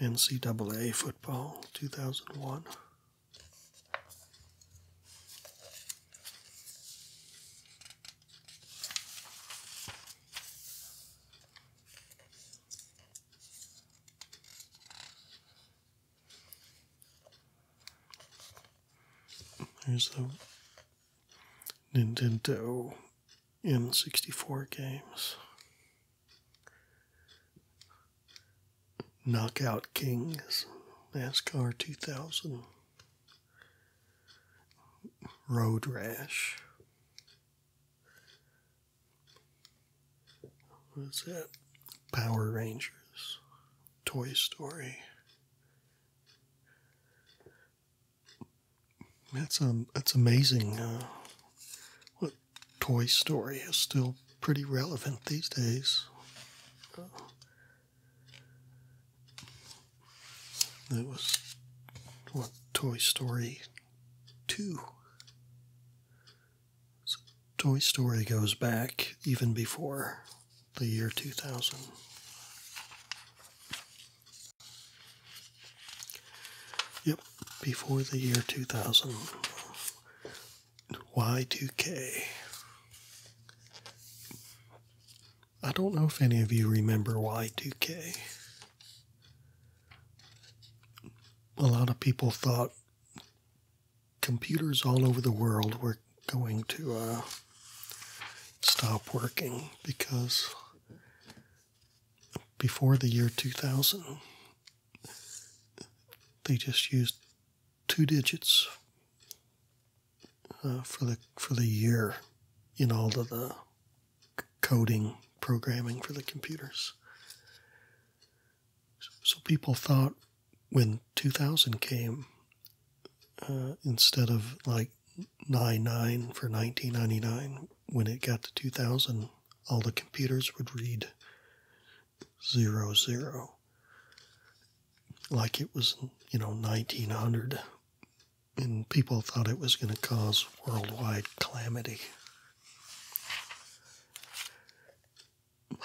NCAA football 2001. There's the Nintendo M 64 games. Knockout Kings, NASCAR 2000. Road Rash. What is that? Power Rangers. Toy Story. That's um, that's amazing. Uh, what Toy Story is still pretty relevant these days. That was what Toy Story 2. Toy Story goes back even before the year 2000. Yep, before the year 2000, Y2K. I don't know if any of you remember Y2K. A lot of people thought computers all over the world were going to uh, stop working because before the year 2000, they just used two digits uh, for the for the year in all of the coding programming for the computers. So people thought when 2000 came, uh, instead of like 99 for 1999, when it got to 2000, all the computers would read zero zero, like it was you know 1900, and people thought it was going to cause worldwide calamity.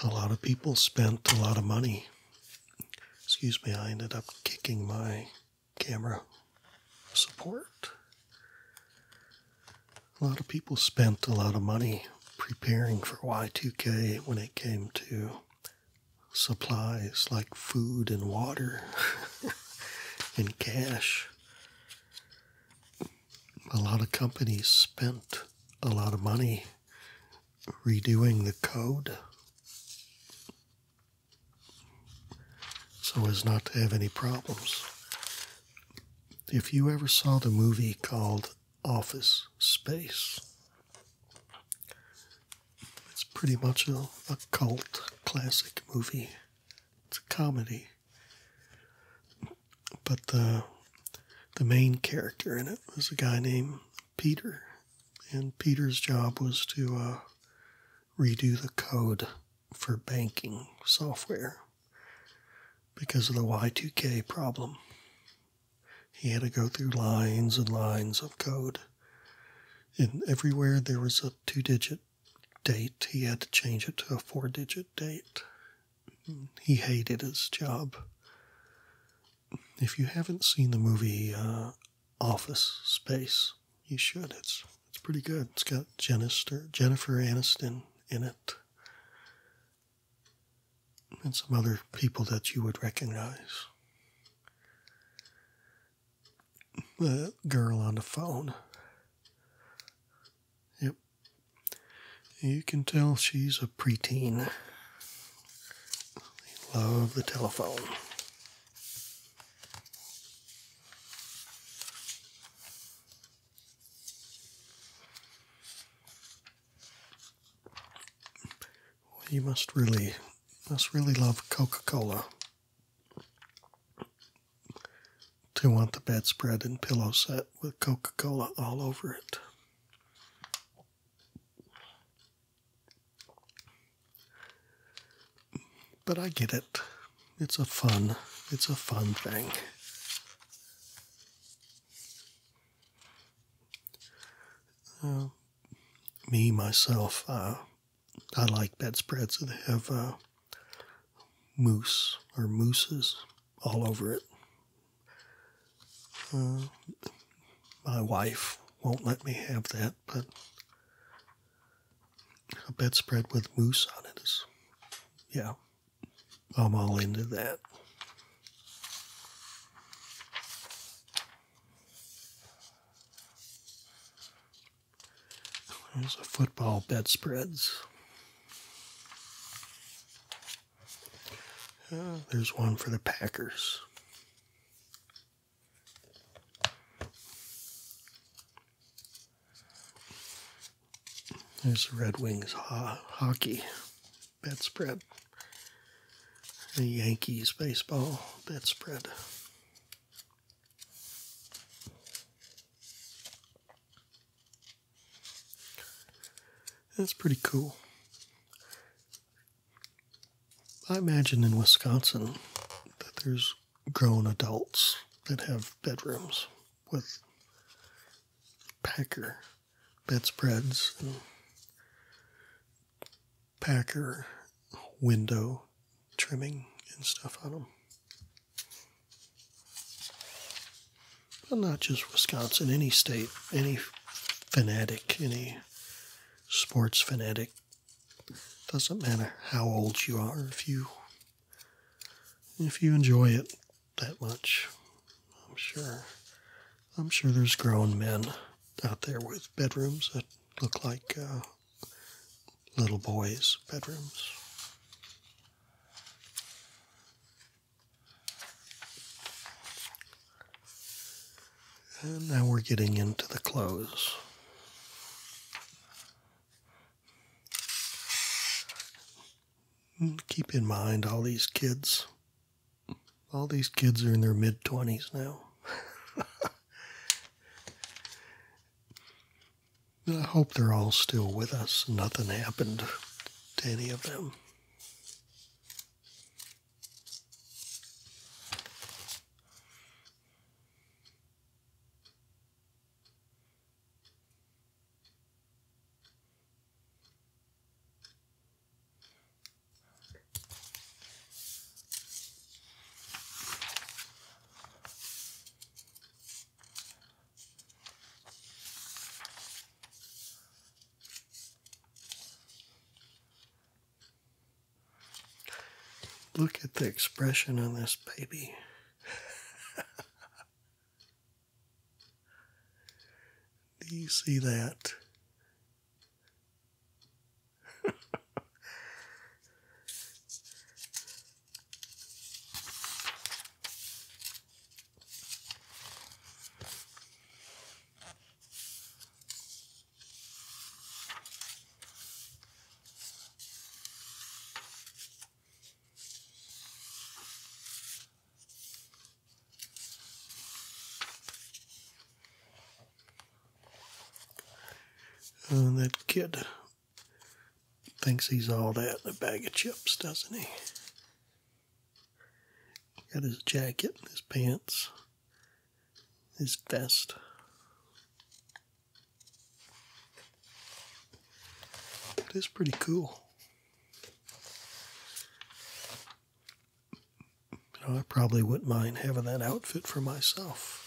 A lot of people spent a lot of money. Excuse me, I ended up kicking my camera support a lot of people spent a lot of money preparing for Y2K when it came to supplies like food and water and cash. A lot of companies spent a lot of money redoing the code so as not to have any problems. If you ever saw the movie called office space. It's pretty much a, a cult classic movie. It's a comedy. But the uh, the main character in it was a guy named Peter, and Peter's job was to uh, redo the code for banking software because of the Y2K problem. He had to go through lines and lines of code. And everywhere there was a two digit date, he had to change it to a four digit date. He hated his job. If you haven't seen the movie uh, Office Space, you should. It's it's pretty good. It's got Jennifer Jennifer Aniston in it and some other people that you would recognize. The girl on the phone. Yep. You can tell she's a preteen. They love the telephone you must really, must really love Coca Cola to want the bedspread and pillow set with Coca Cola all over it. But I get it. It's a fun, it's a fun thing. Uh, me myself, uh, I like bedspreads that have uh, moose or mooses all over it. my wife won't let me have that, but a bedspread with moose on it is, yeah. I'm all into that. There's a football bedspreads. Uh, there's one for the Packers. There's the Red Wings hockey bet spread. The Yankees baseball bet spread. That's pretty cool. I imagine in Wisconsin that there's grown adults that have bedrooms with Packer bedspreads, and packer window trimming and stuff on them. But not just Wisconsin, any state, any fanatic, any sports fanatic. Doesn't matter how old you are, if you if you enjoy it, that much. I'm sure. I'm sure there's grown men out there with bedrooms that look like uh, little boys' bedrooms. And now we're getting into the clothes. Keep in mind all these kids all these kids are in their mid 20s now. I hope they're all still with us. Nothing happened to any of them. Look at the expression on this baby. Do you see that? Uh, that kid thinks he's all that in a bag of chips, doesn't he? Got his jacket, his pants, his vest. It is pretty cool. I probably wouldn't mind having that outfit for myself.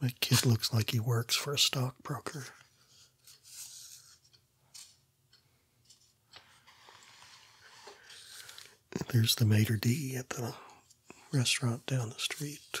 That kid looks like he works for a stockbroker. There's the Mater d' at the restaurant down the street.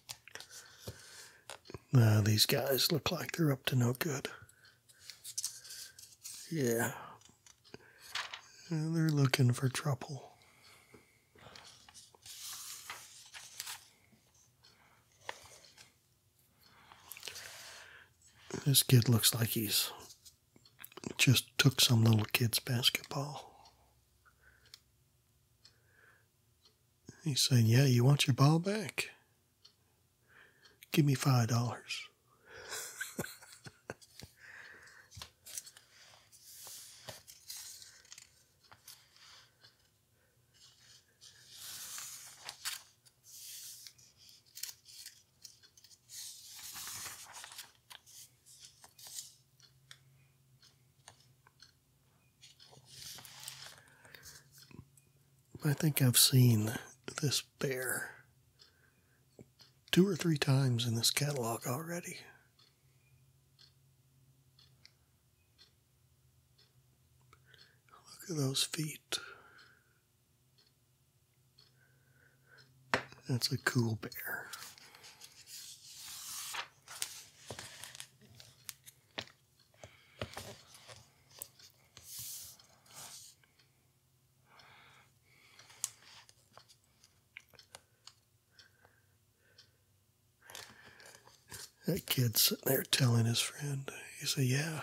these guys look like they're up to no good. Yeah. They're looking for trouble. This kid looks like he's just took some little kid's basketball. He's saying, Yeah, you want your ball back? Give me five dollars. I think I've seen this bear two or three times in this catalog already. Look at those feet. That's a cool bear. That kid sitting there telling his friend, he said, Yeah,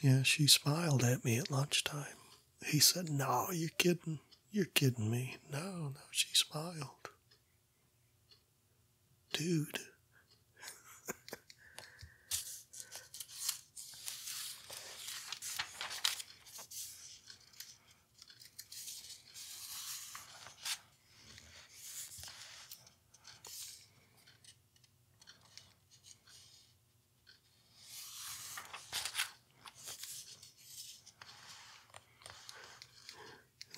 yeah, she smiled at me at lunchtime. He said, No, you're kidding. You're kidding me. No, no, she smiled. Dude.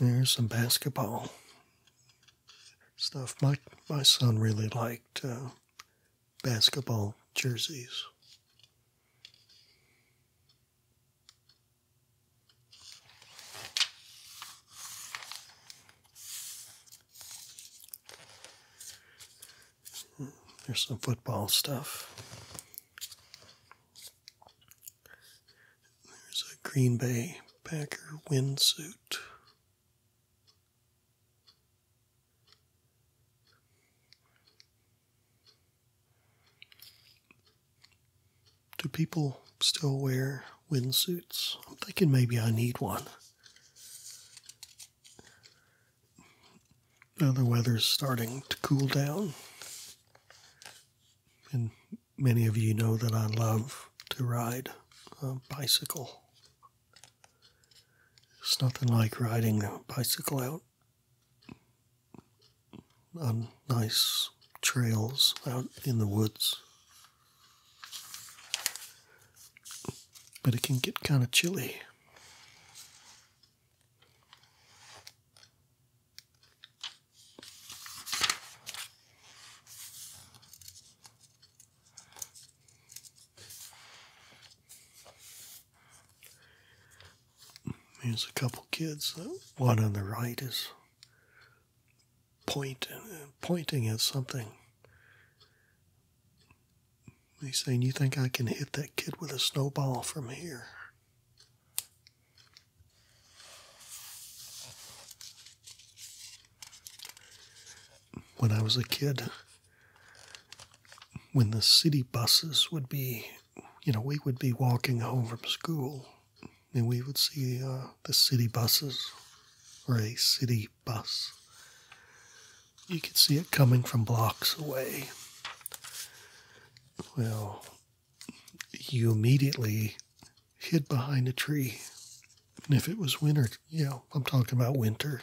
There's some basketball stuff. My my son really liked uh, basketball jerseys. There's some football stuff. There's a Green Bay Packer windsuit. Do people still wear windsuits? I'm thinking maybe I need one. Now the weather's starting to cool down, and many of you know that I love to ride a bicycle. It's nothing like riding a bicycle out on nice trails out in the woods. But it can get kind of chilly. There's a couple kids. One on the right is point, uh, pointing at something. He's saying, You think I can hit that kid with a snowball from here? when I was a kid, when the city buses would be, you know, we would be walking home from school and we would see uh, the city buses or a city bus. You could see it coming from blocks away. Well, you immediately hid behind a tree. And if it was winter, you know, I'm talking about winter,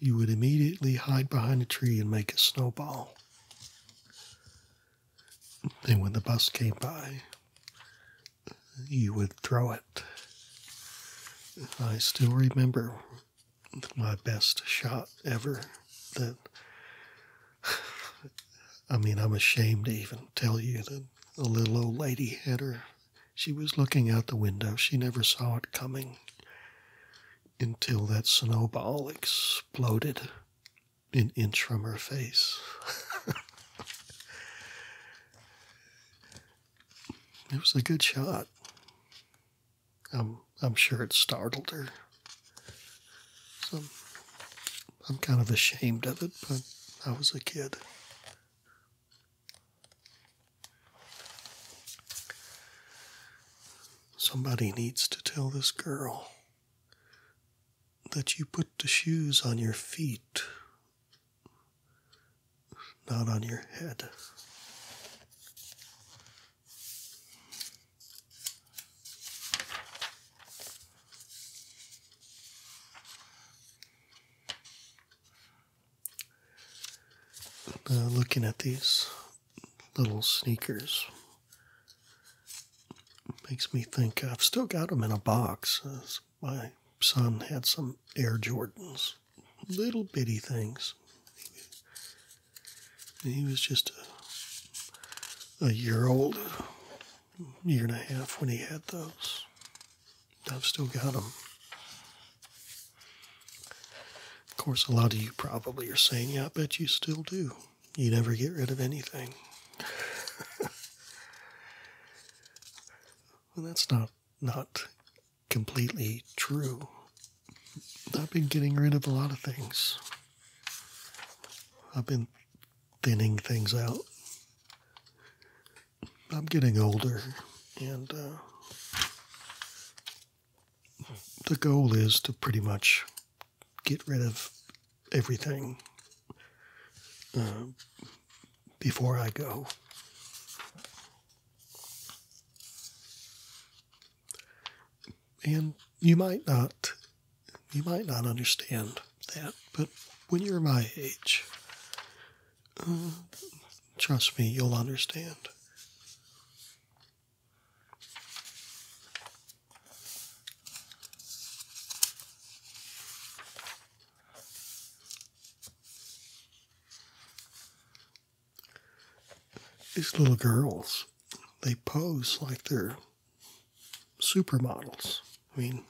you would immediately hide behind a tree and make a snowball. And when the bus came by, you would throw it. I still remember my best shot ever that I mean, I'm ashamed even tell you that the little old lady had her. She was looking out the window. She never saw it coming until that snowball exploded an inch from her face. it was a good shot. I'm, I'm sure it startled her. So I'm kind of ashamed of it, but I was a kid. Somebody needs to tell this girl that you put the shoes on your feet, not on your head. Uh, looking at these little sneakers makes me think I've still got them in a box. my son had some Air Jordans, little bitty things. He was just a year old year and a half when he had those. I've still got them. Of course, a lot of you probably are saying, yeah, I bet you still do. You never get rid of anything. that's not, not completely true. I've been getting rid of a lot of things. I've been thinning things out. I'm getting older, and uh, the goal is to pretty much get rid of everything uh, before I go. And you might not, you might not understand that, but when you're my age, uh, trust me, you'll understand. These little girls, they pose like they're supermodels. I mean,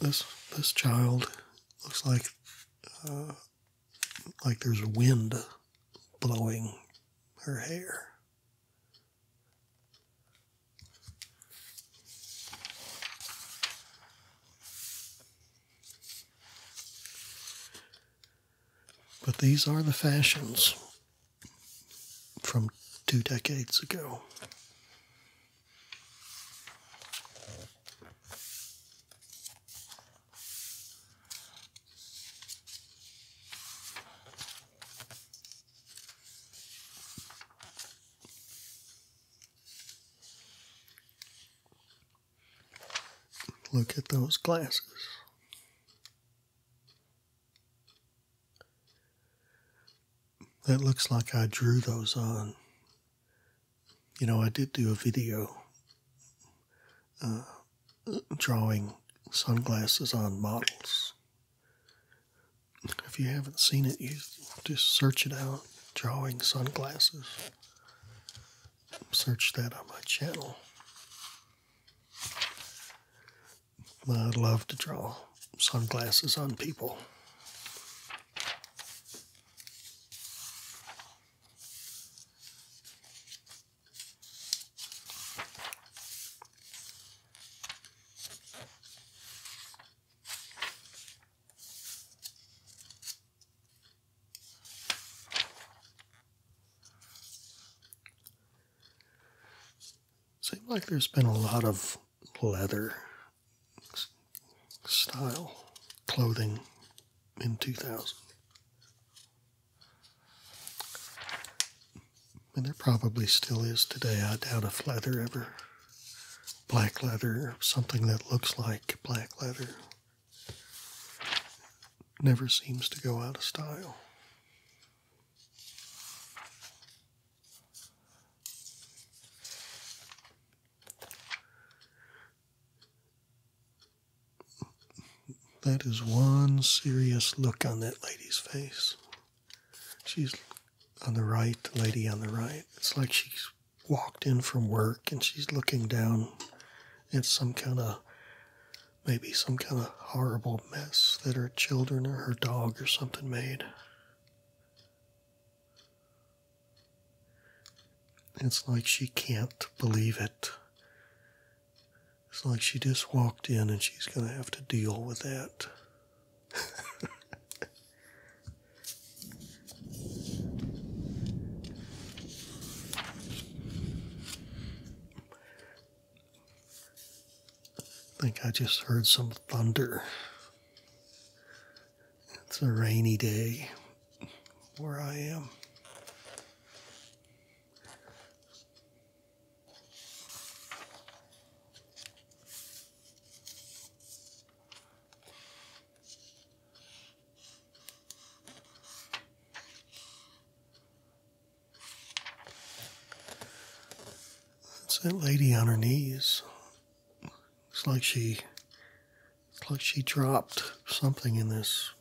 this this child looks like uh, like there's wind blowing her hair. But these are the fashions from two decades ago. Look at those glasses that looks like I drew those on. You know, I did do a video uh, drawing sunglasses on models. If you haven't seen it, you just search it out drawing sunglasses. Search that on my channel. I love to draw sunglasses on people. Seems like there's been a lot of leather style clothing in 2000. And there probably still is today. I doubt if leather ever, black leather, something that looks like black leather, never seems to go out of style. That is one serious look on that lady's face. She's on the right, the lady on the right. It's like she's walked in from work and she's looking down at some kind of maybe some kind of horrible mess that her children or her dog or something made. It's like she can't believe it. It's like she just walked in and she's going to have to deal with that. I think I just heard some thunder. It's a rainy day where I am. That's that lady on her knees it's like she, it's like she dropped something in this,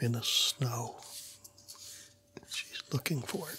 in the snow. She's looking for it.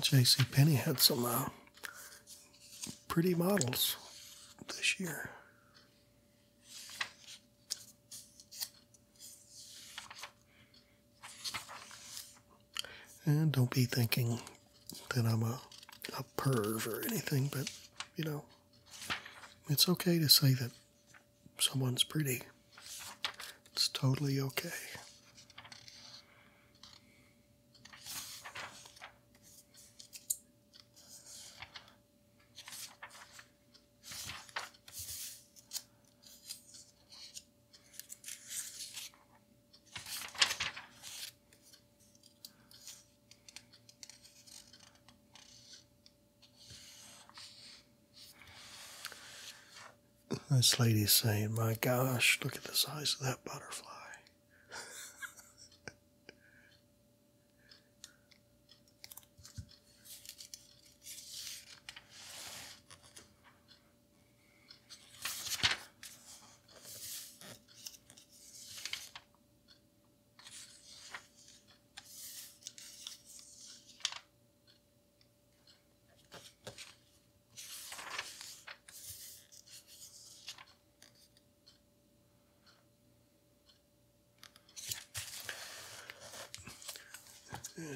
JC Penney had some uh, pretty models this year. And don't be thinking that I'm a, a perv or anything, but you know, it's okay to say that someone's pretty. It's totally okay. This lady's saying, My gosh, look at the size of that butterfly.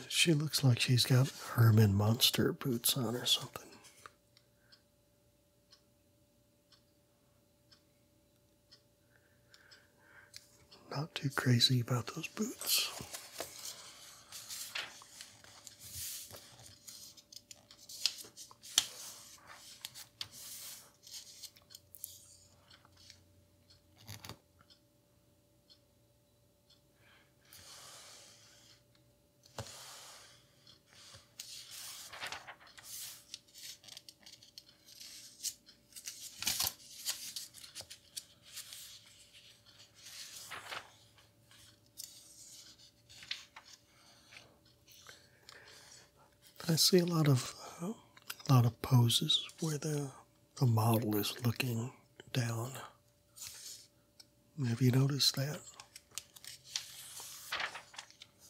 She looks like she's got Herman Monster boots on or something. Not too crazy about those boots. I see a lot of lot of poses where the the model is looking down. Have you noticed that?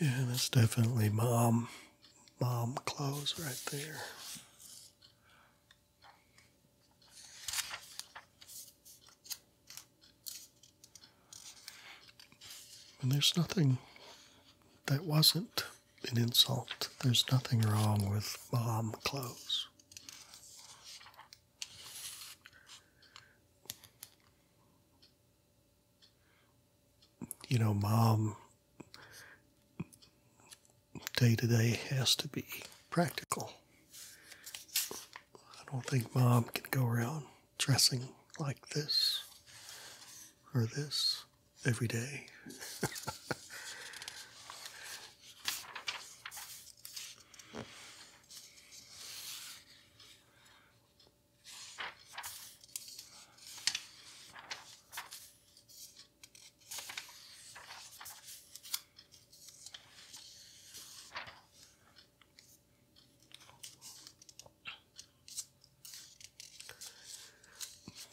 Yeah, that's definitely mom um, mom um, clothes right there. And there's nothing that wasn't an insult. There's nothing wrong with mom clothes. You know, mom day to day has to be practical. I don't think mom can go around dressing like this or this every day.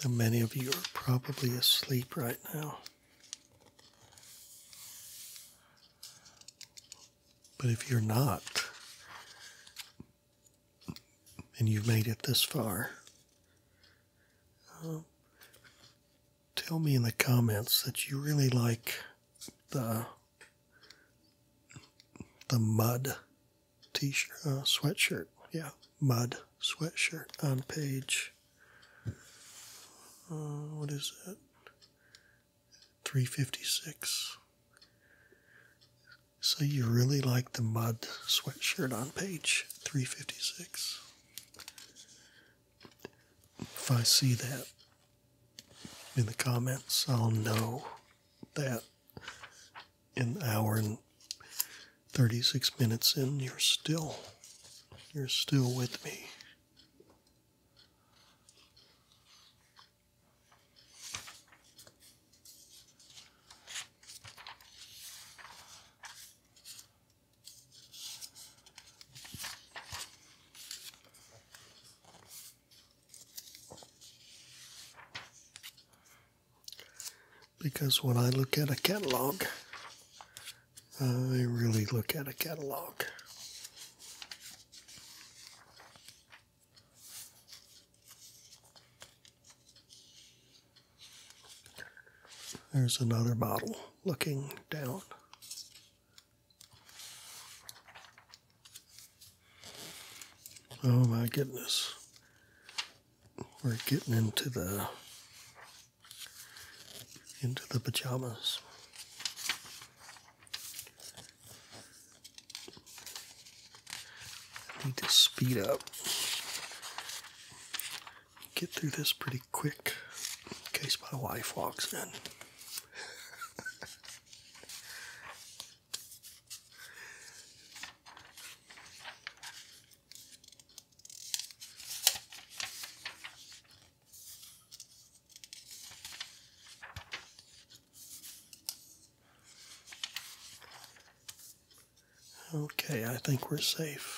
And many of you are probably asleep right now. But if you're not, and you've made it this far, uh, tell me in the comments that you really like the the mud t-shirt, uh, sweatshirt. Yeah, mud sweatshirt on page. Uh, what is that? 356. So you really like the mud sweatshirt on page 356. If I see that in the comments, I'll know that an hour and 36 minutes and you're still, you're still with me because when I look at a catalog, I really look at a catalog. There's another bottle looking down. Oh my goodness we're getting into the into the pajamas. need to speed up. Get through this pretty quick in case my wife walks in. Okay, I think we're safe.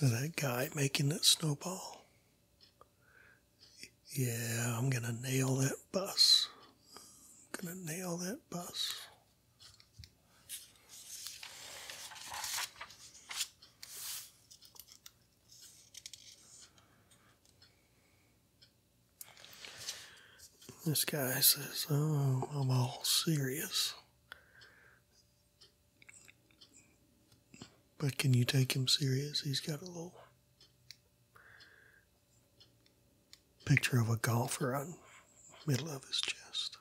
that guy making that snowball. Yeah, I'm going to nail that bus. I'm going to nail that bus. This guy says, Oh, I'm all serious. But can you take him serious? He's got a little picture of a golfer on middle of his chest.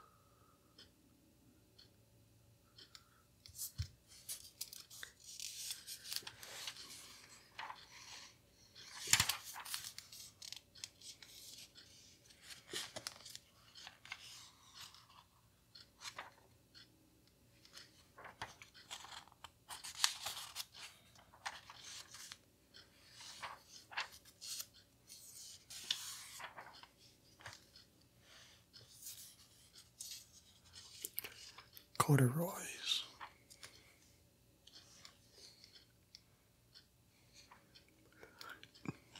Corduroys.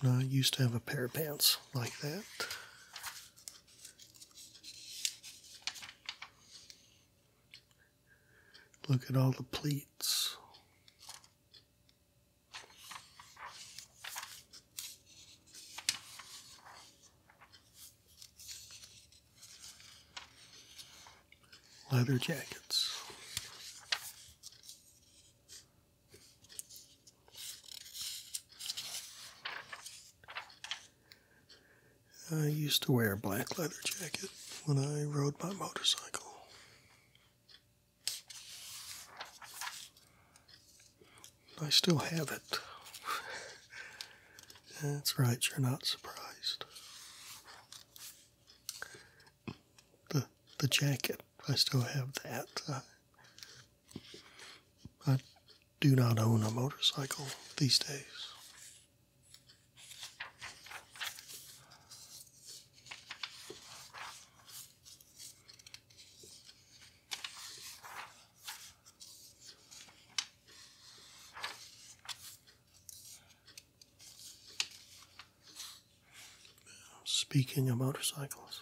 I used to have a pair of pants like that. Look at all the pleats. Leather jackets. I used to wear a black leather jacket when I rode my motorcycle. I still have it. That's right, you're not surprised the the jacket. I still have that. I, I do not own a motorcycle these days. Speaking of motorcycles,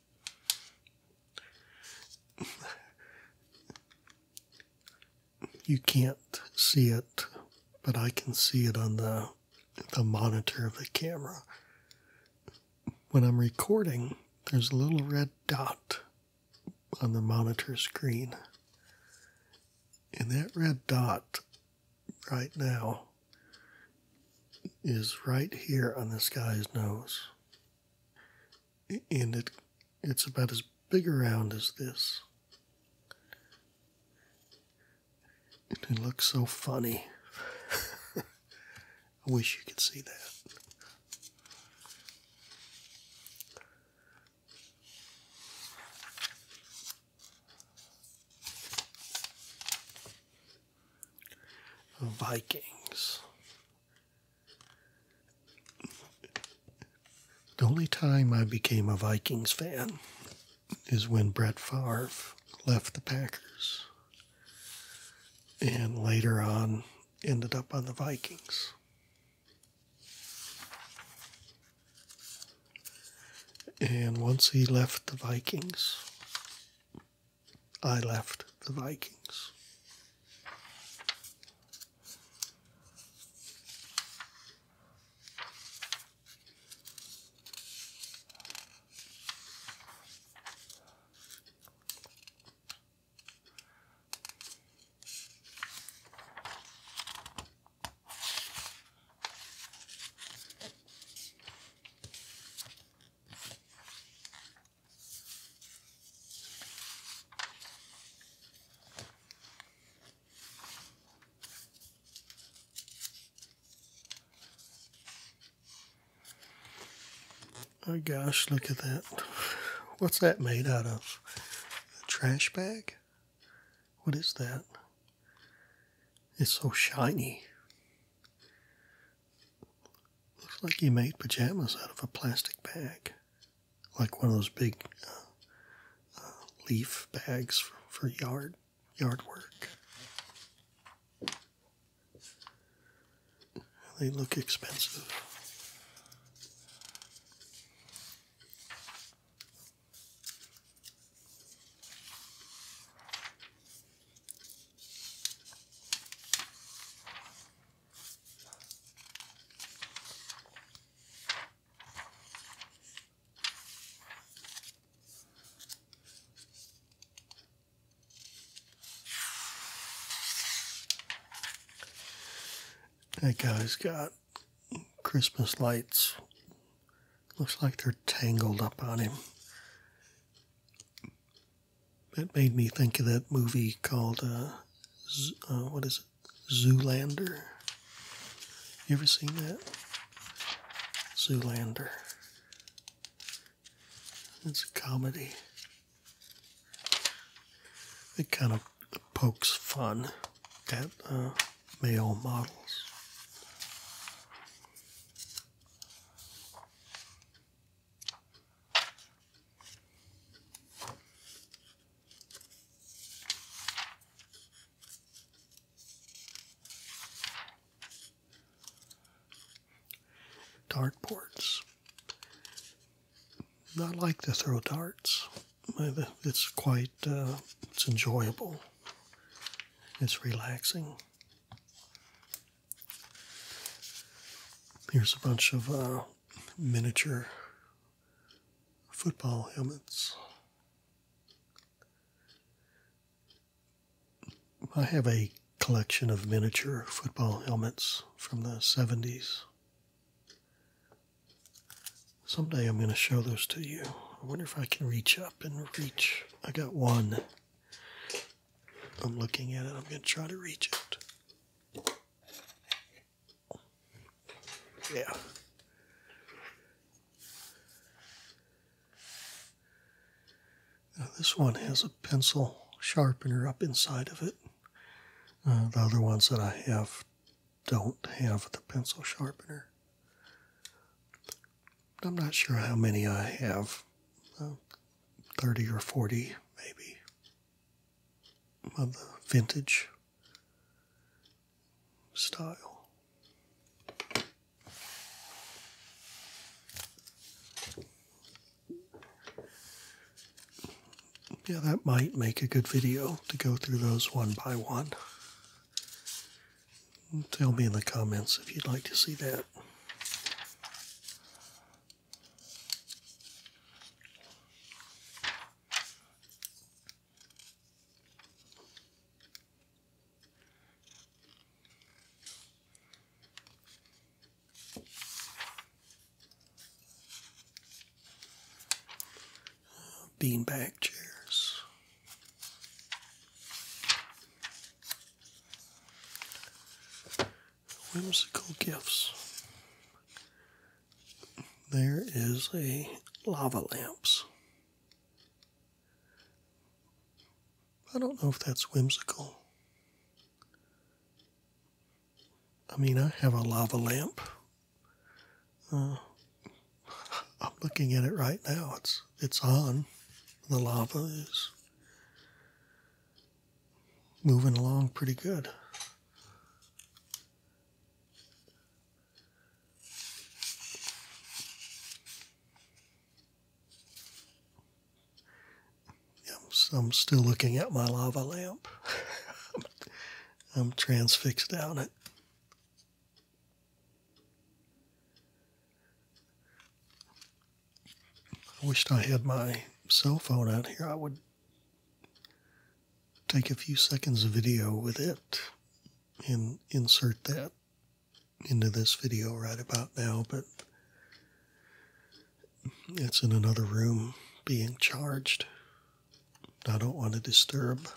you can't see it, but I can see it on the, the monitor of the camera. When I'm recording, there's a little red dot on the monitor screen. And that red dot right now is right here on this guy's nose. And it it's about as big around as this. it looks so funny. I wish you could see that. Vikings. The only time I became a Vikings fan is when Brett Favre left the Packers and later on ended up on the Vikings. And once he left the Vikings, I left the Vikings. Oh gosh, look at that. What's that made out of? A trash bag? What is that? It's so shiny. Looks like he made pajamas out of a plastic bag, like one of those big uh, uh, leaf bags for yard yard work. They look expensive. That guy's got Christmas lights. Looks like they're tangled up on him it made me think of that movie called uh, uh, what is it? Zoolander. You ever seen that? Zoolander. It's a comedy. It kind of pokes fun at uh, male models. Dartboards. I like to throw darts. Uh, it's quite uh, it's enjoyable. It's relaxing. Here's a bunch of uh, miniature football helmets. I have a collection of miniature football helmets from the 70s. Someday I'm going to show those to you. I wonder if I can reach up and reach. I got one I'm looking at it. I'm going to try to reach it. Yeah. this one has a pencil sharpener up inside of it. Uh, the other ones that I have don't have the pencil sharpener. I'm not sure how many I have. Uh, 30 or 40 maybe of the vintage style. Yeah, that might make a good video to go through those one by one. Tell me in the comments if you'd like to see that beanbag chairs. Whimsical Gifts. There is a lava lamps. I don't know if that's whimsical. I mean, I have a lava lamp. Uh, I'm looking at it right now. It's it's on. The lava is moving along pretty good. I'm still looking at my lava lamp. I'm transfixed on it. I wished I had my cell phone out here. I would take a few seconds of video with it and insert that into this video right about now, but it's in another room being charged. I don't want to disturb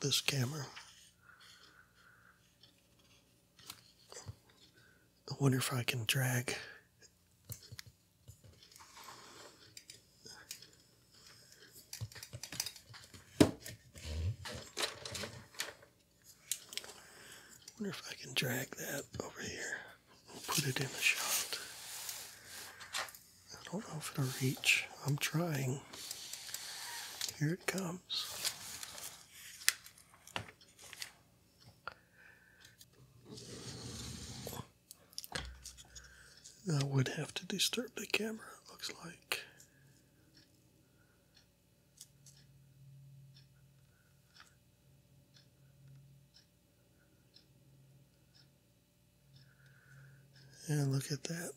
this camera. I wonder if I can drag wonder if I can drag that over here and put it in the shot. I don't know if it'll reach. I'm trying. Here it comes. I would have to disturb the camera, it looks like. And look at that.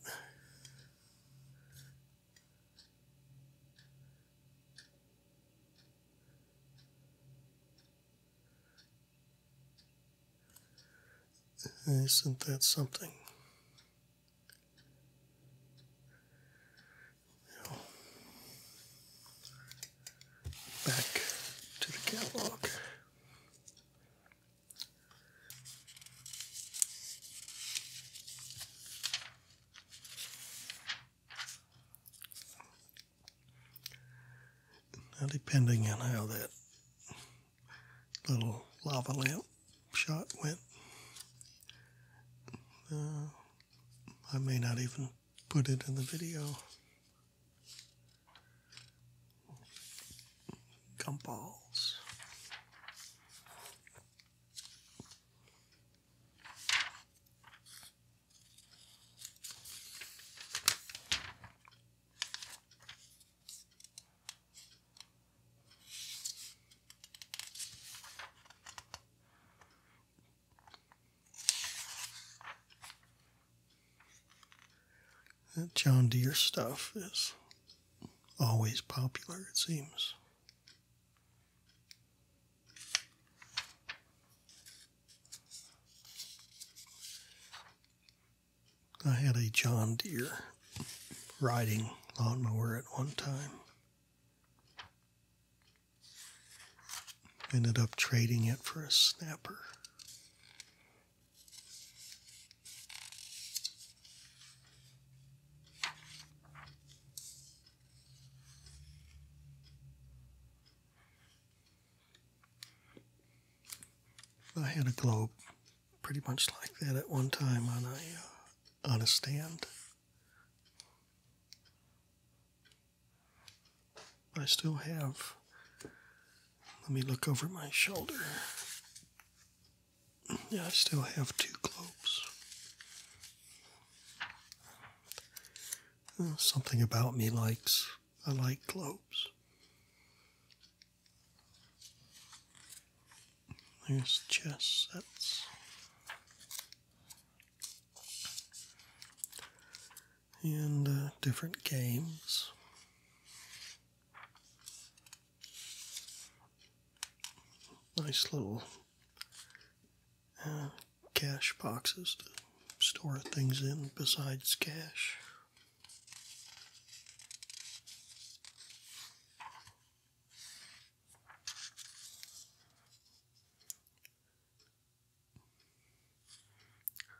Isn't that something? back to the catalog. Now, depending on how that little lava lamp shot went, uh, I may not even put it in the video. Gumballs. That John Deere stuff is always popular, it seems. I had a John Deere riding lawnmower at one time. Ended up trading it for a snapper. I had a globe pretty much like that at one time on a uh, on a stand. I still have. Let me look over my shoulder. Yeah, I still have two globes. Uh, something about me likes, I like globes. There's chess sets. And uh, different games. Nice little uh, cash boxes to store things in besides cash.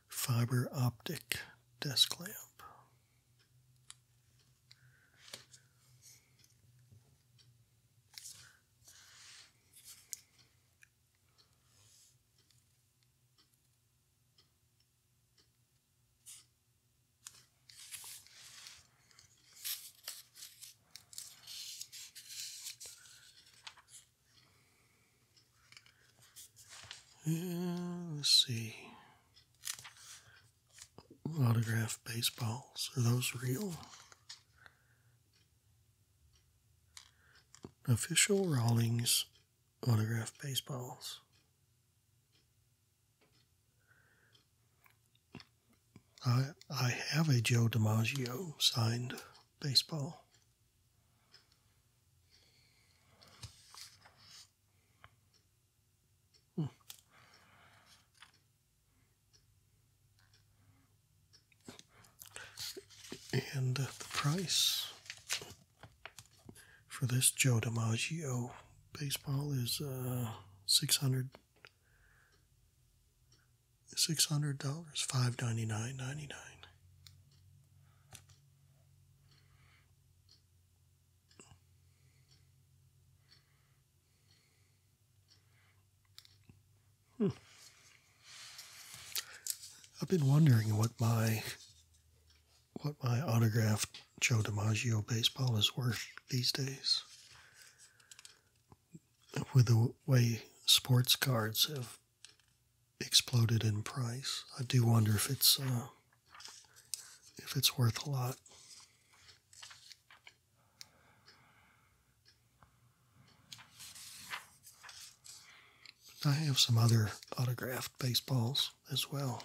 Fiber optic desk lamp let's see. Autograph baseballs. Are those real? Official Rawlings autograph baseballs. I I have a Joe DiMaggio signed baseball. Hmm. And uh, the price for this Joe DiMaggio baseball is uh, dollars $600 $599.99. I've been wondering what my what my autographed Joe DiMaggio baseball is worth these days. With the way sports cards have exploded in price, I do wonder if it's uh, if it's worth a lot. I have some other autographed baseballs as well.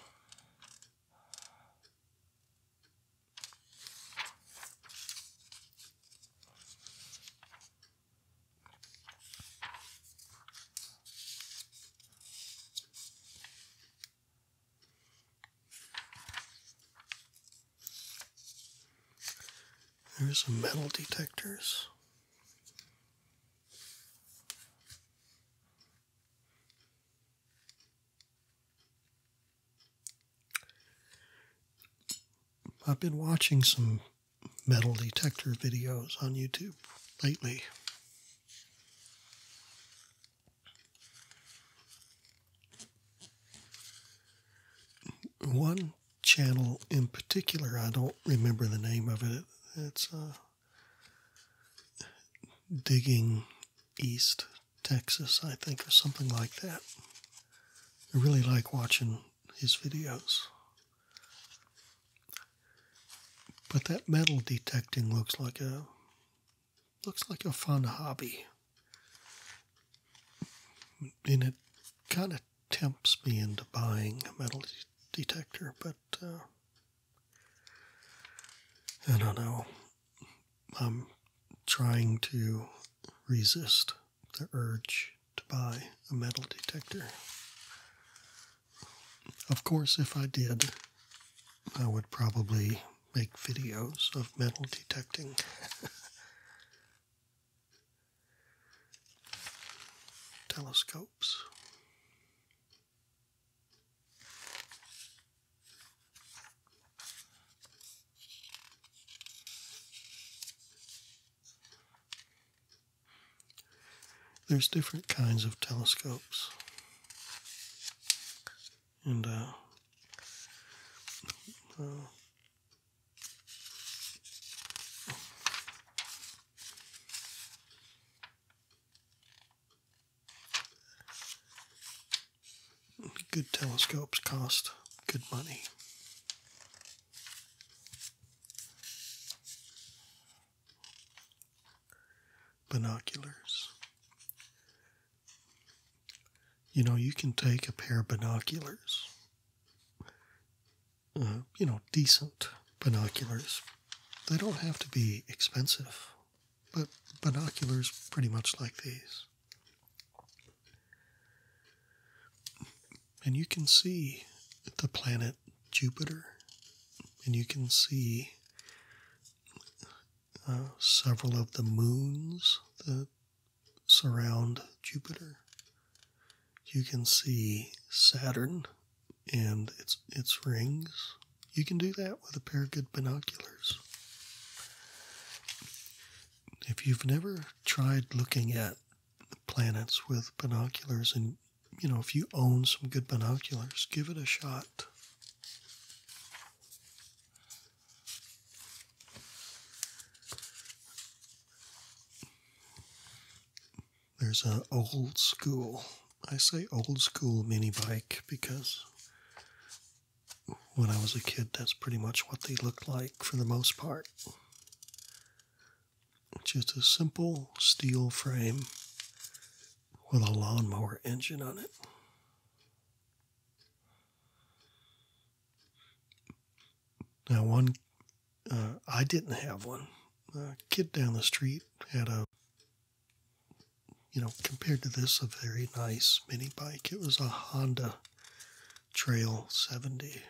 There's some metal detectors. I've been watching some metal detector videos on YouTube lately. One channel in particular. I don't remember the name of it. It's uh, Digging East Texas, I think, or something like that. I really like watching his videos. But that metal detecting looks like a looks like a fun hobby. And it kind of that me into buying a metal detector, but uh, I don't know. I'm trying to resist the urge to buy a metal detector. Of course, if I did, I would probably make videos of metal detecting. telescopes. There's different kinds of telescopes, and uh, uh, Good telescopes cost good money. Binoculars. You know, you can take a pair of binoculars uh, you know, decent binoculars. They don't have to be expensive, but binoculars pretty much like these. And you can see the planet Jupiter, and you can see uh, several of the moons that surround Jupiter you can see Saturn and its its rings. You can do that with a pair of good binoculars. If you've never tried looking at planets with binoculars and you know if you own some good binoculars, give it a shot. There's an old school. I say old school mini bike because when I was a kid, that's pretty much what they looked like for the most part. Just a simple steel frame with a lawnmower engine on it. Now, one uh, I didn't have one. A kid down the street had a, you know, compared to this, a very nice mini bike. It was a Honda Trail 70.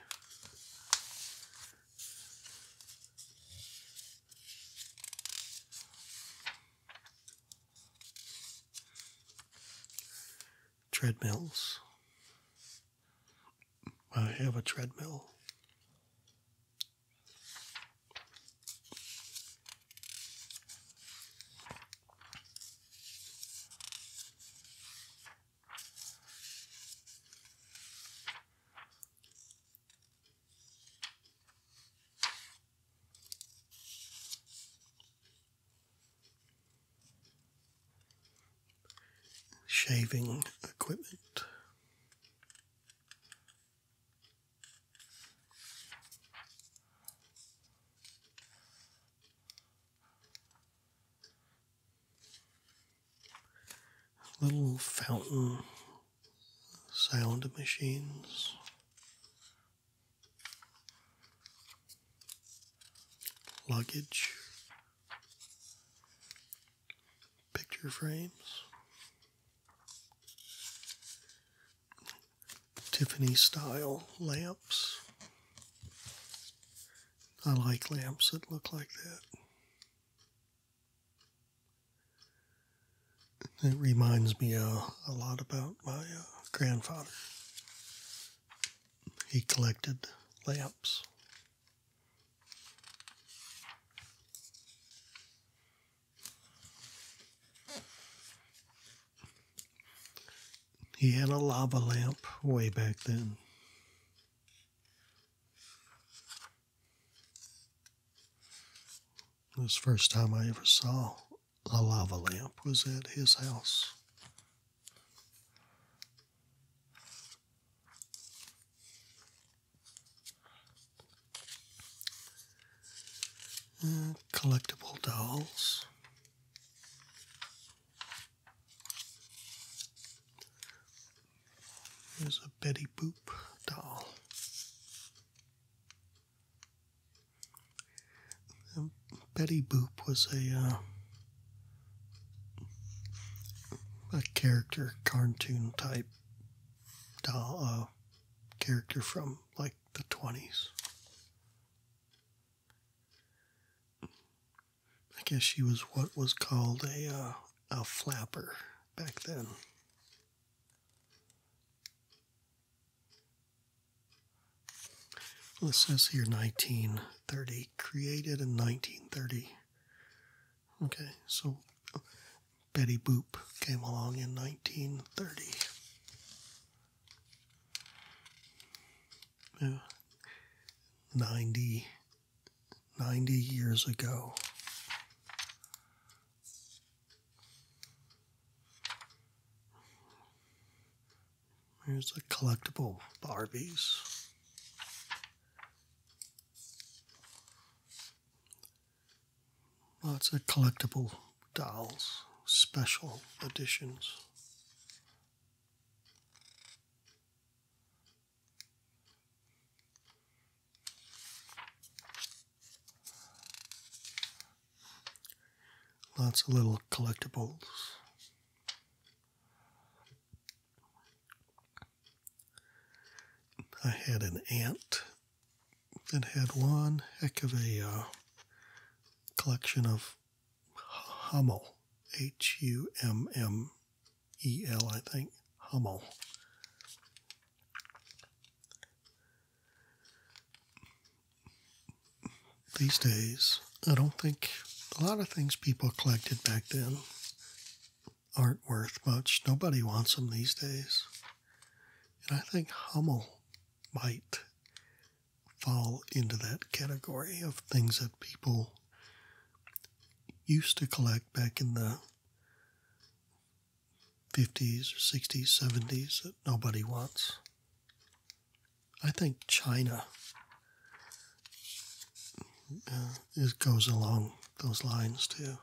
Treadmills. I have a treadmill. shaving equipment. Little fountain sound machines. Luggage, picture frames. Tiffany style lamps. I like lamps that look like that. It reminds me uh, a lot about my uh, grandfather. He collected lamps. He had a lava lamp way back then. This first time I ever saw a lava lamp was at his house collectible dolls. There's a Betty Boop doll. Betty Boop was a uh, a character cartoon type doll, uh, character from like the 20s. I guess she was what was called a, uh, a flapper back then. Well, it says here 1930, created in 1930. Okay, so Betty Boop came along in 1930. Yeah. 90 years ago. Here's the collectible Barbies. Lots of collectible dolls, special editions. Lots of little collectibles. I had an aunt that had one heck of a uh, collection of Hummel, H U M M E L, I think, Hummel. These days, I don't think a lot of things people collected back then aren't worth much. Nobody wants them these days. And I think Hummel might fall into that category of things that people used to collect back in the 50s, 60s, 70s that nobody wants. I think China uh, goes along those lines too.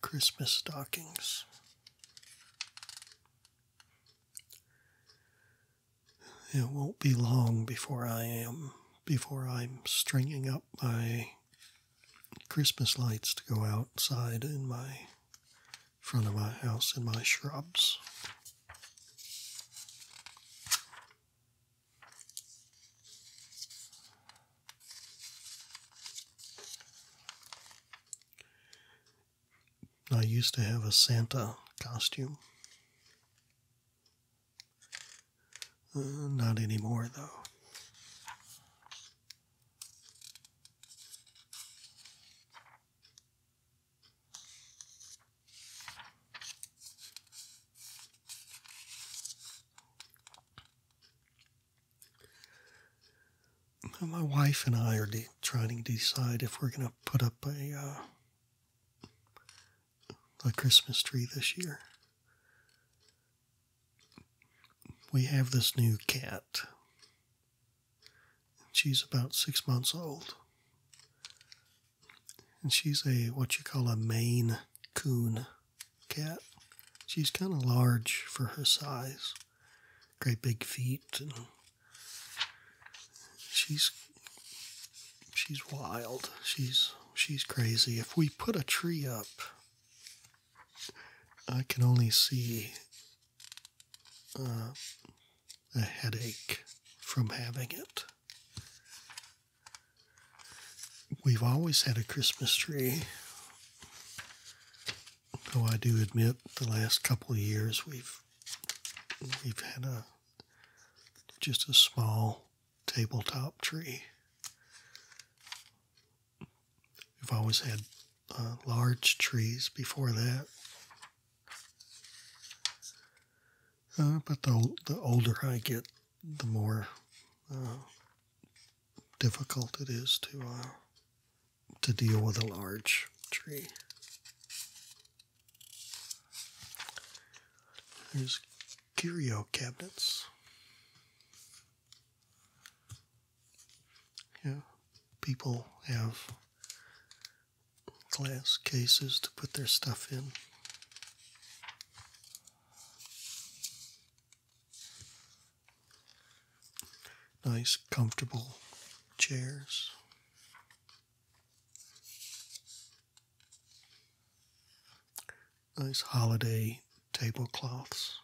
Christmas stockings. It won't be long before I am before I'm stringing up my Christmas lights to go outside in my front of my house and my shrubs. I used to have a Santa costume. Uh, not anymore, though. My wife and I are trying to decide if we're going to put up a uh, a Christmas tree this year. We have this new cat she's about six months old. And she's a what you call a Maine coon cat. She's kind of large for her size. Great big feet and she's she's wild. She's she's crazy. If we put a tree up, I can only see uh, a headache from having it. We've always had a Christmas tree, though I do admit the last couple of years we've we've had a just a small tabletop tree. We've always had uh, large trees before that, uh, but the, the older I get, the more uh, difficult it is to uh, to deal with a large tree. There's curio cabinets. Yeah, people have glass cases to put their stuff in. Nice, comfortable chairs. Nice holiday tablecloths.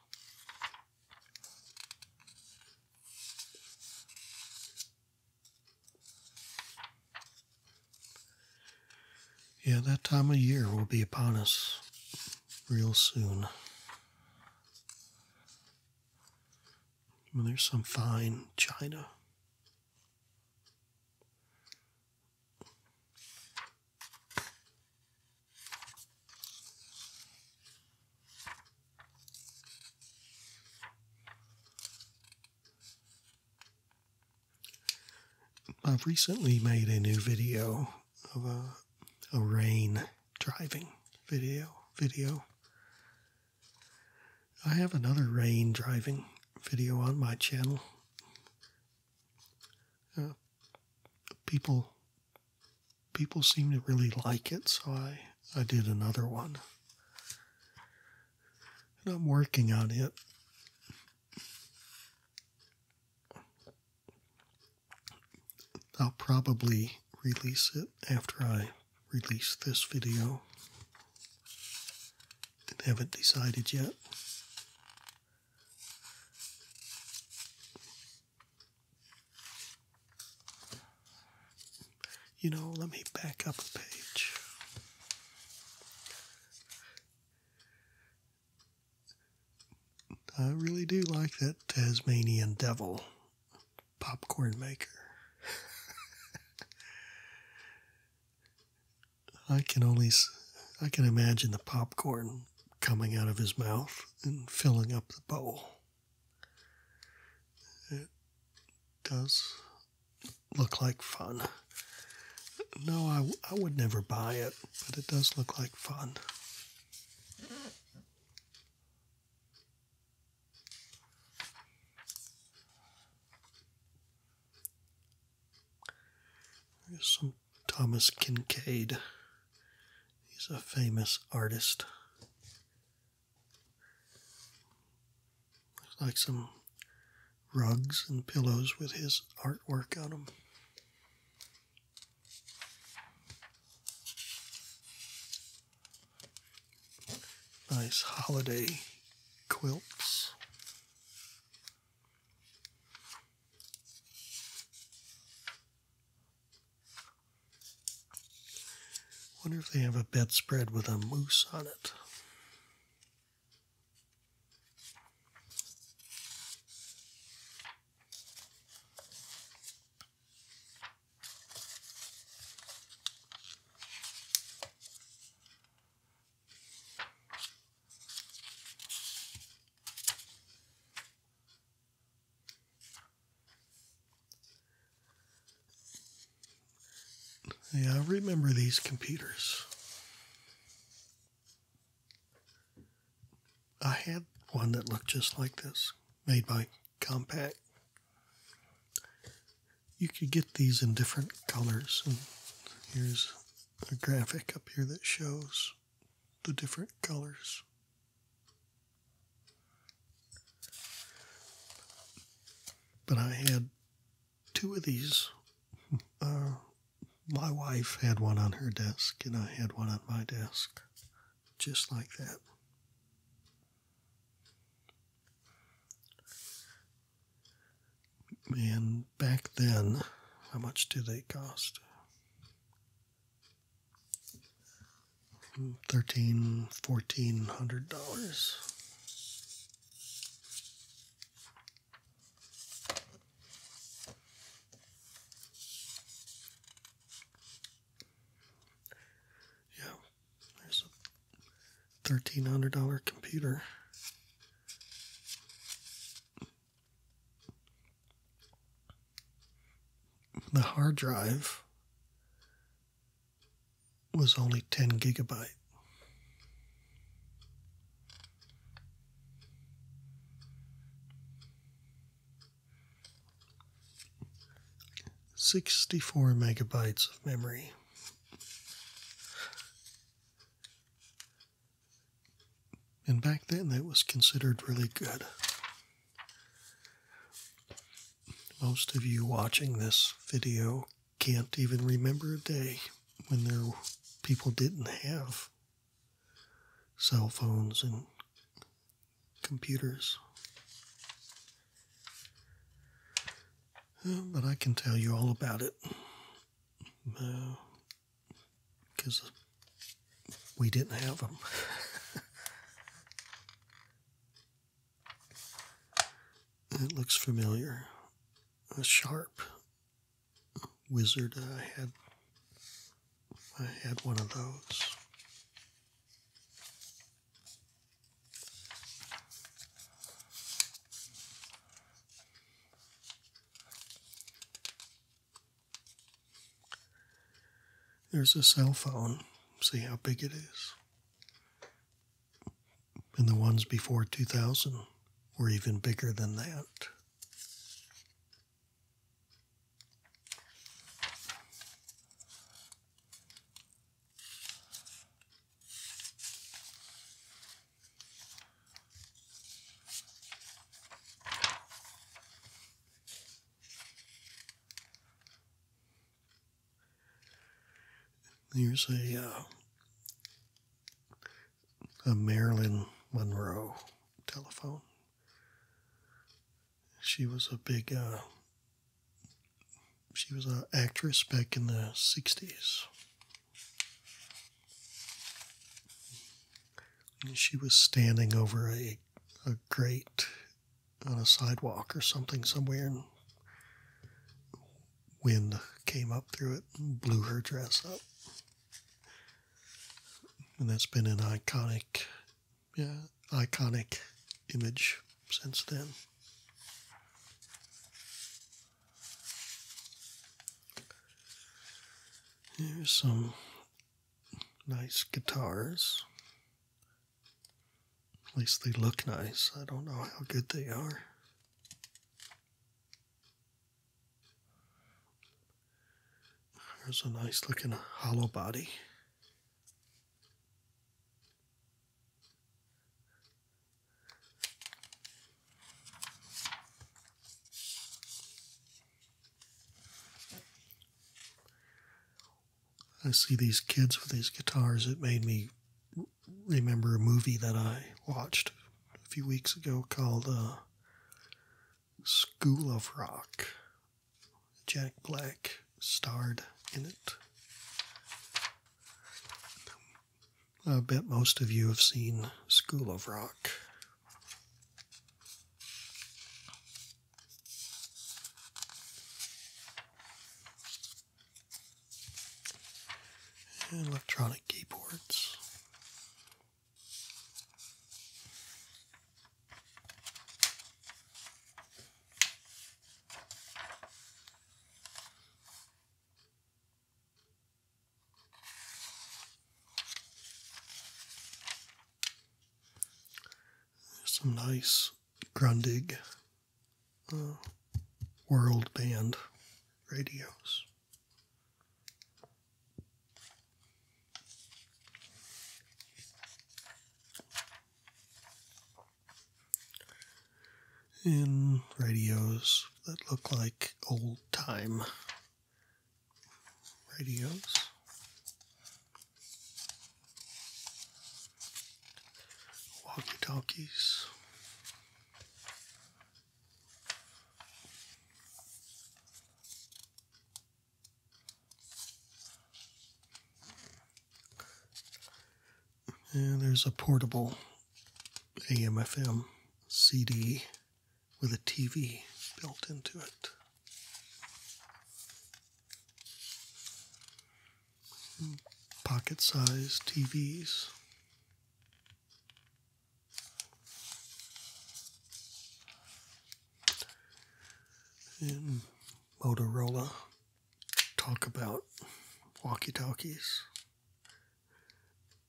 Yeah, that time of year will be upon us real soon. Well, there's some fine china. I've recently made a new video of a, a rain driving video. Video. I have another rain driving video on my channel. Uh, people people seem to really like it, so I, I did another one. And I'm working on it. I'll probably release it after I release this video. I haven't decided yet. You know, let me back up a page. I really do like that Tasmanian devil popcorn maker. I can only I can imagine the popcorn coming out of his mouth and filling up the bowl. It does look like fun. No, I, I would never buy it, but it does look like fun. There's some Thomas Kincaid. He's a famous artist. Looks like some rugs and pillows with his artwork on them. Nice holiday quilts. Wonder if they have a bedspread with a moose on it. Yeah, remember these computers. I had one that looked just like this, made by Compact. You could get these in different colors, and here's a graphic up here that shows the different colors. But I had two of these. Uh, my wife had one on her desk, and I had one on my desk, just like that. And back then, how much do they cost? Hmm, 13 dollars yeah, there's a $1,300 computer. The hard drive was only 10 gigabyte. Sixty four megabytes of memory. And back then, that was considered really good. Most of you watching this video can't even remember a day when there people didn't have cell phones and computers. but I can tell you all about it because uh, we didn't have them. It looks familiar. A sharp wizard. I had I had one of those. There's a cell phone. See how big it is and the ones before 2000 were even bigger than that. There's a uh, a Marilyn Monroe telephone. She was a big uh, she was an actress back in the 60s. she was standing over a, a grate on a sidewalk or something somewhere, wind came up through it and blew her dress up. And that's been an iconic, yeah, iconic image since then. Here's some nice guitars. At least they look nice. I don't know how good they are. There's a nice looking hollow body. I see these kids with these guitars, it made me remember a movie that I watched a few weeks ago called uh, School of Rock. Jack Black starred in it. I bet most of you have seen School of Rock and electronic keyboards. There's some nice Grundig world band radios. and radios that look like old time radios. Walkie talkies. And there's a portable AM FM CD with a TV built into it. Pocket sized TVs and Motorola talk about walkie talkies.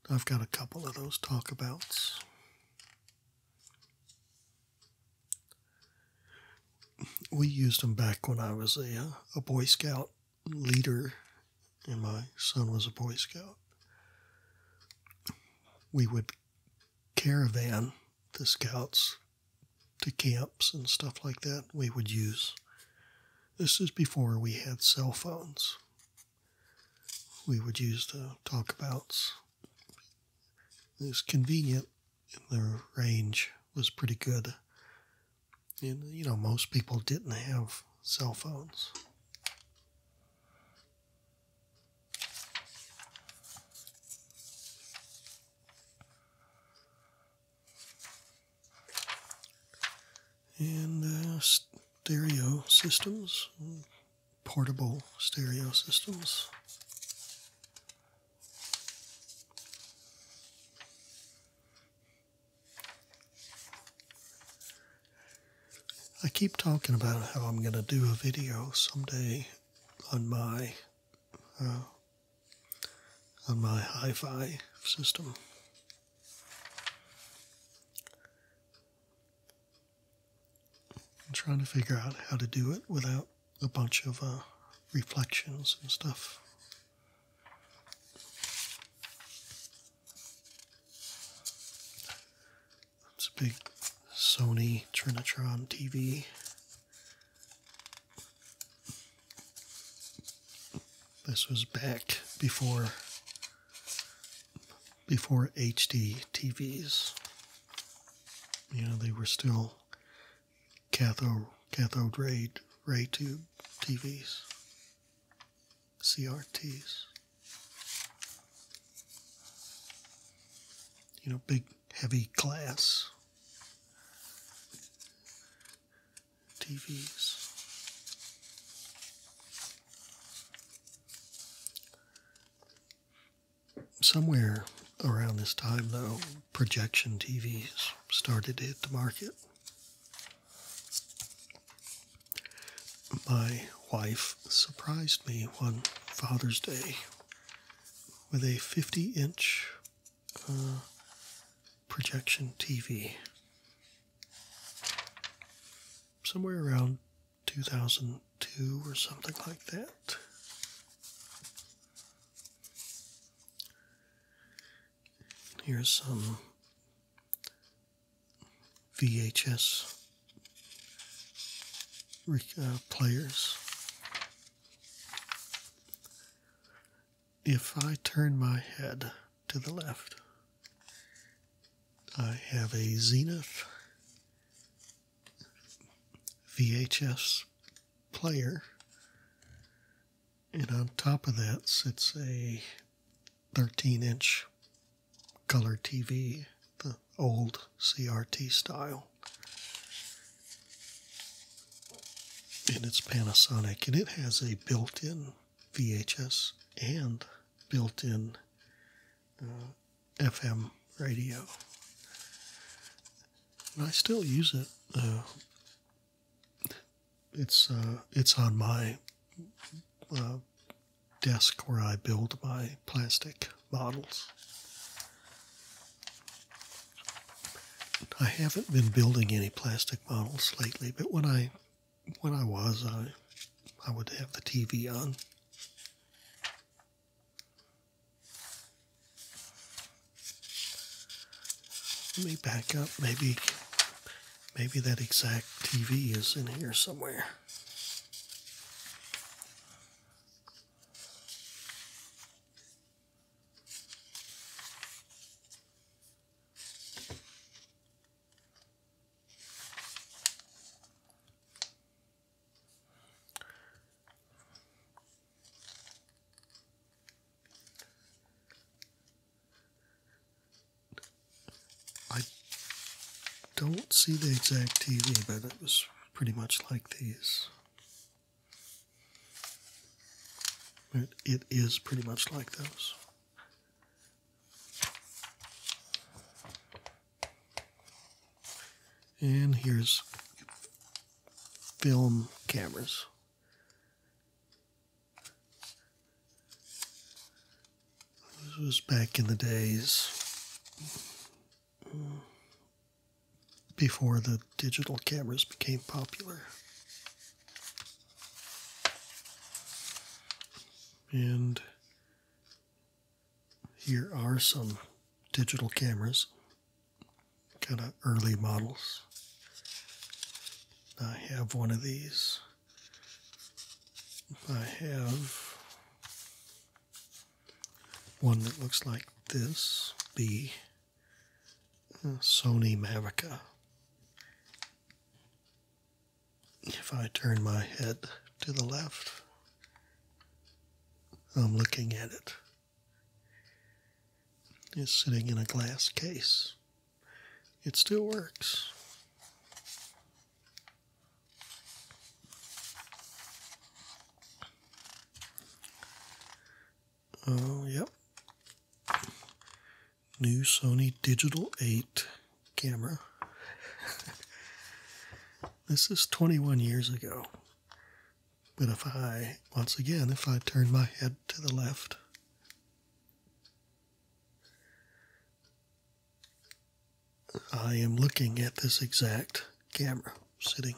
I've got a couple of those talkabouts. We used them back when I was a, uh, a Boy Scout leader, and my son was a Boy Scout, we would caravan the scouts to camps and stuff like that. We would use this is before we had cell phones. We would use the talkabouts. It was convenient, and the range was pretty good. And, you know, most people didn't have cell phones. And uh, stereo systems, portable stereo systems. I keep talking about how I'm going to do a video someday on my uh, on my hi-fi system. I'm trying to figure out how to do it without a bunch of uh, reflections and stuff. That's a big Sony Trinitron TV. This was back before before HD TVs. You know, they were still cathode cathode ray ray tube TVs. CRTs. You know, big, heavy glass TVs. Somewhere around this time, though, projection TVs started hit the market. My wife surprised me one Father's Day with a 50 inch uh, projection TV somewhere around 2002 or something like that. Here's some VHS uh, players. If I turn my head to the left, I have a Zenith VHS player, and on top of that sits a 13 inch color TV, the old CRT style. And it's Panasonic, and it has a built in VHS and built in uh, FM radio. And I still use it. Uh, it's uh, it's on my uh, desk where I build my plastic models. I haven't been building any plastic models lately, but when I when I was, I I would have the TV on. Let me back up. Maybe Maybe that exact TV is in here somewhere. I don't see the exact TV, but it was pretty much like these. But it is pretty much like those. And here's film cameras. This was back in the days uh, before the digital cameras became popular. And here are some digital cameras, kind of early models. I have one of these. I have one that looks like this the uh, Sony Maverica. If I turn my head to the left, I'm looking at it. It's sitting in a glass case it still works. Oh, yep. New Sony Digital 8 camera. this is 21 years ago. But if I, once again, if I turn my head to the left, I am looking at this exact camera sitting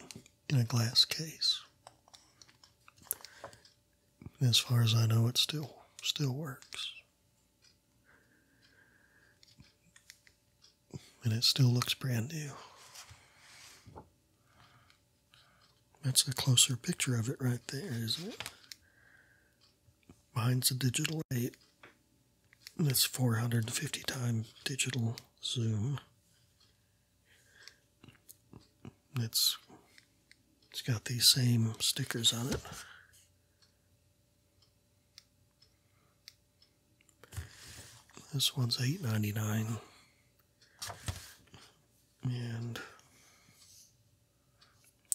in a glass case. As far as I know, it still still works. And it still looks brand new. That's a closer picture of it right there, isn't it? Mine's a digital 8. That's 450 times digital zoom. It's it's got these same stickers on it. This one's eight ninety nine, and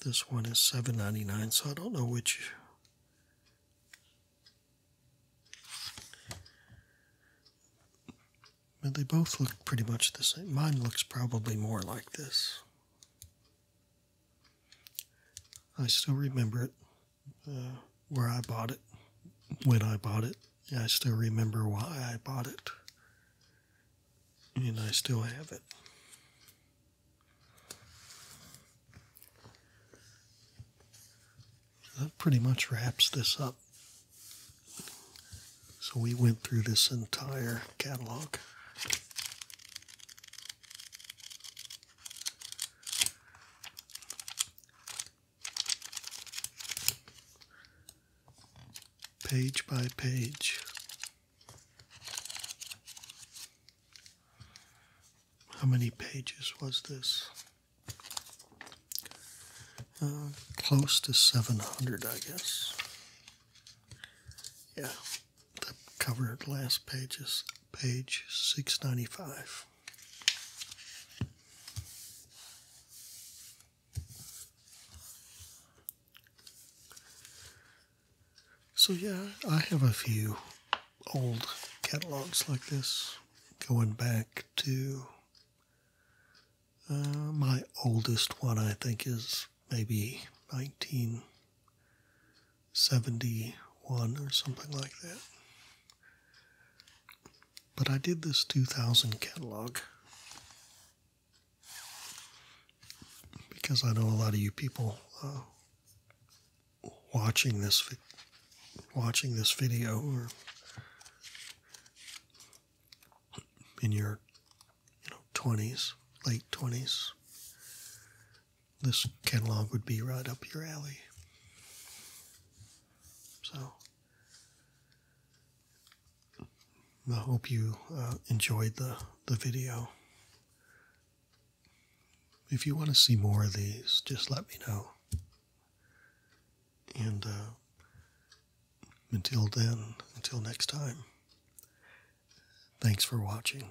this one is $7.99, so I don't know which. But they both look pretty much the same. Mine looks probably more like this. I still remember it, uh, where I bought it, when I bought it. I still remember why I bought it, and I still have it that pretty much wraps this up. So we went through this entire catalog. Page by page. How many pages was this? Uh, close to 700, I guess. Yeah, the cover last page is page 695. So, yeah, I have a few old catalogs like this going back to uh, my oldest one, I think, is maybe 1971 or something like that. But I did this 2000 catalog because I know a lot of you people uh, watching this watching this video or in your you know 20s, late 20s, this catalog would be right up your alley. So I hope you uh, enjoyed the, the video if you want to see more of these, just let me know. And uh, until then, until next time, thanks for watching.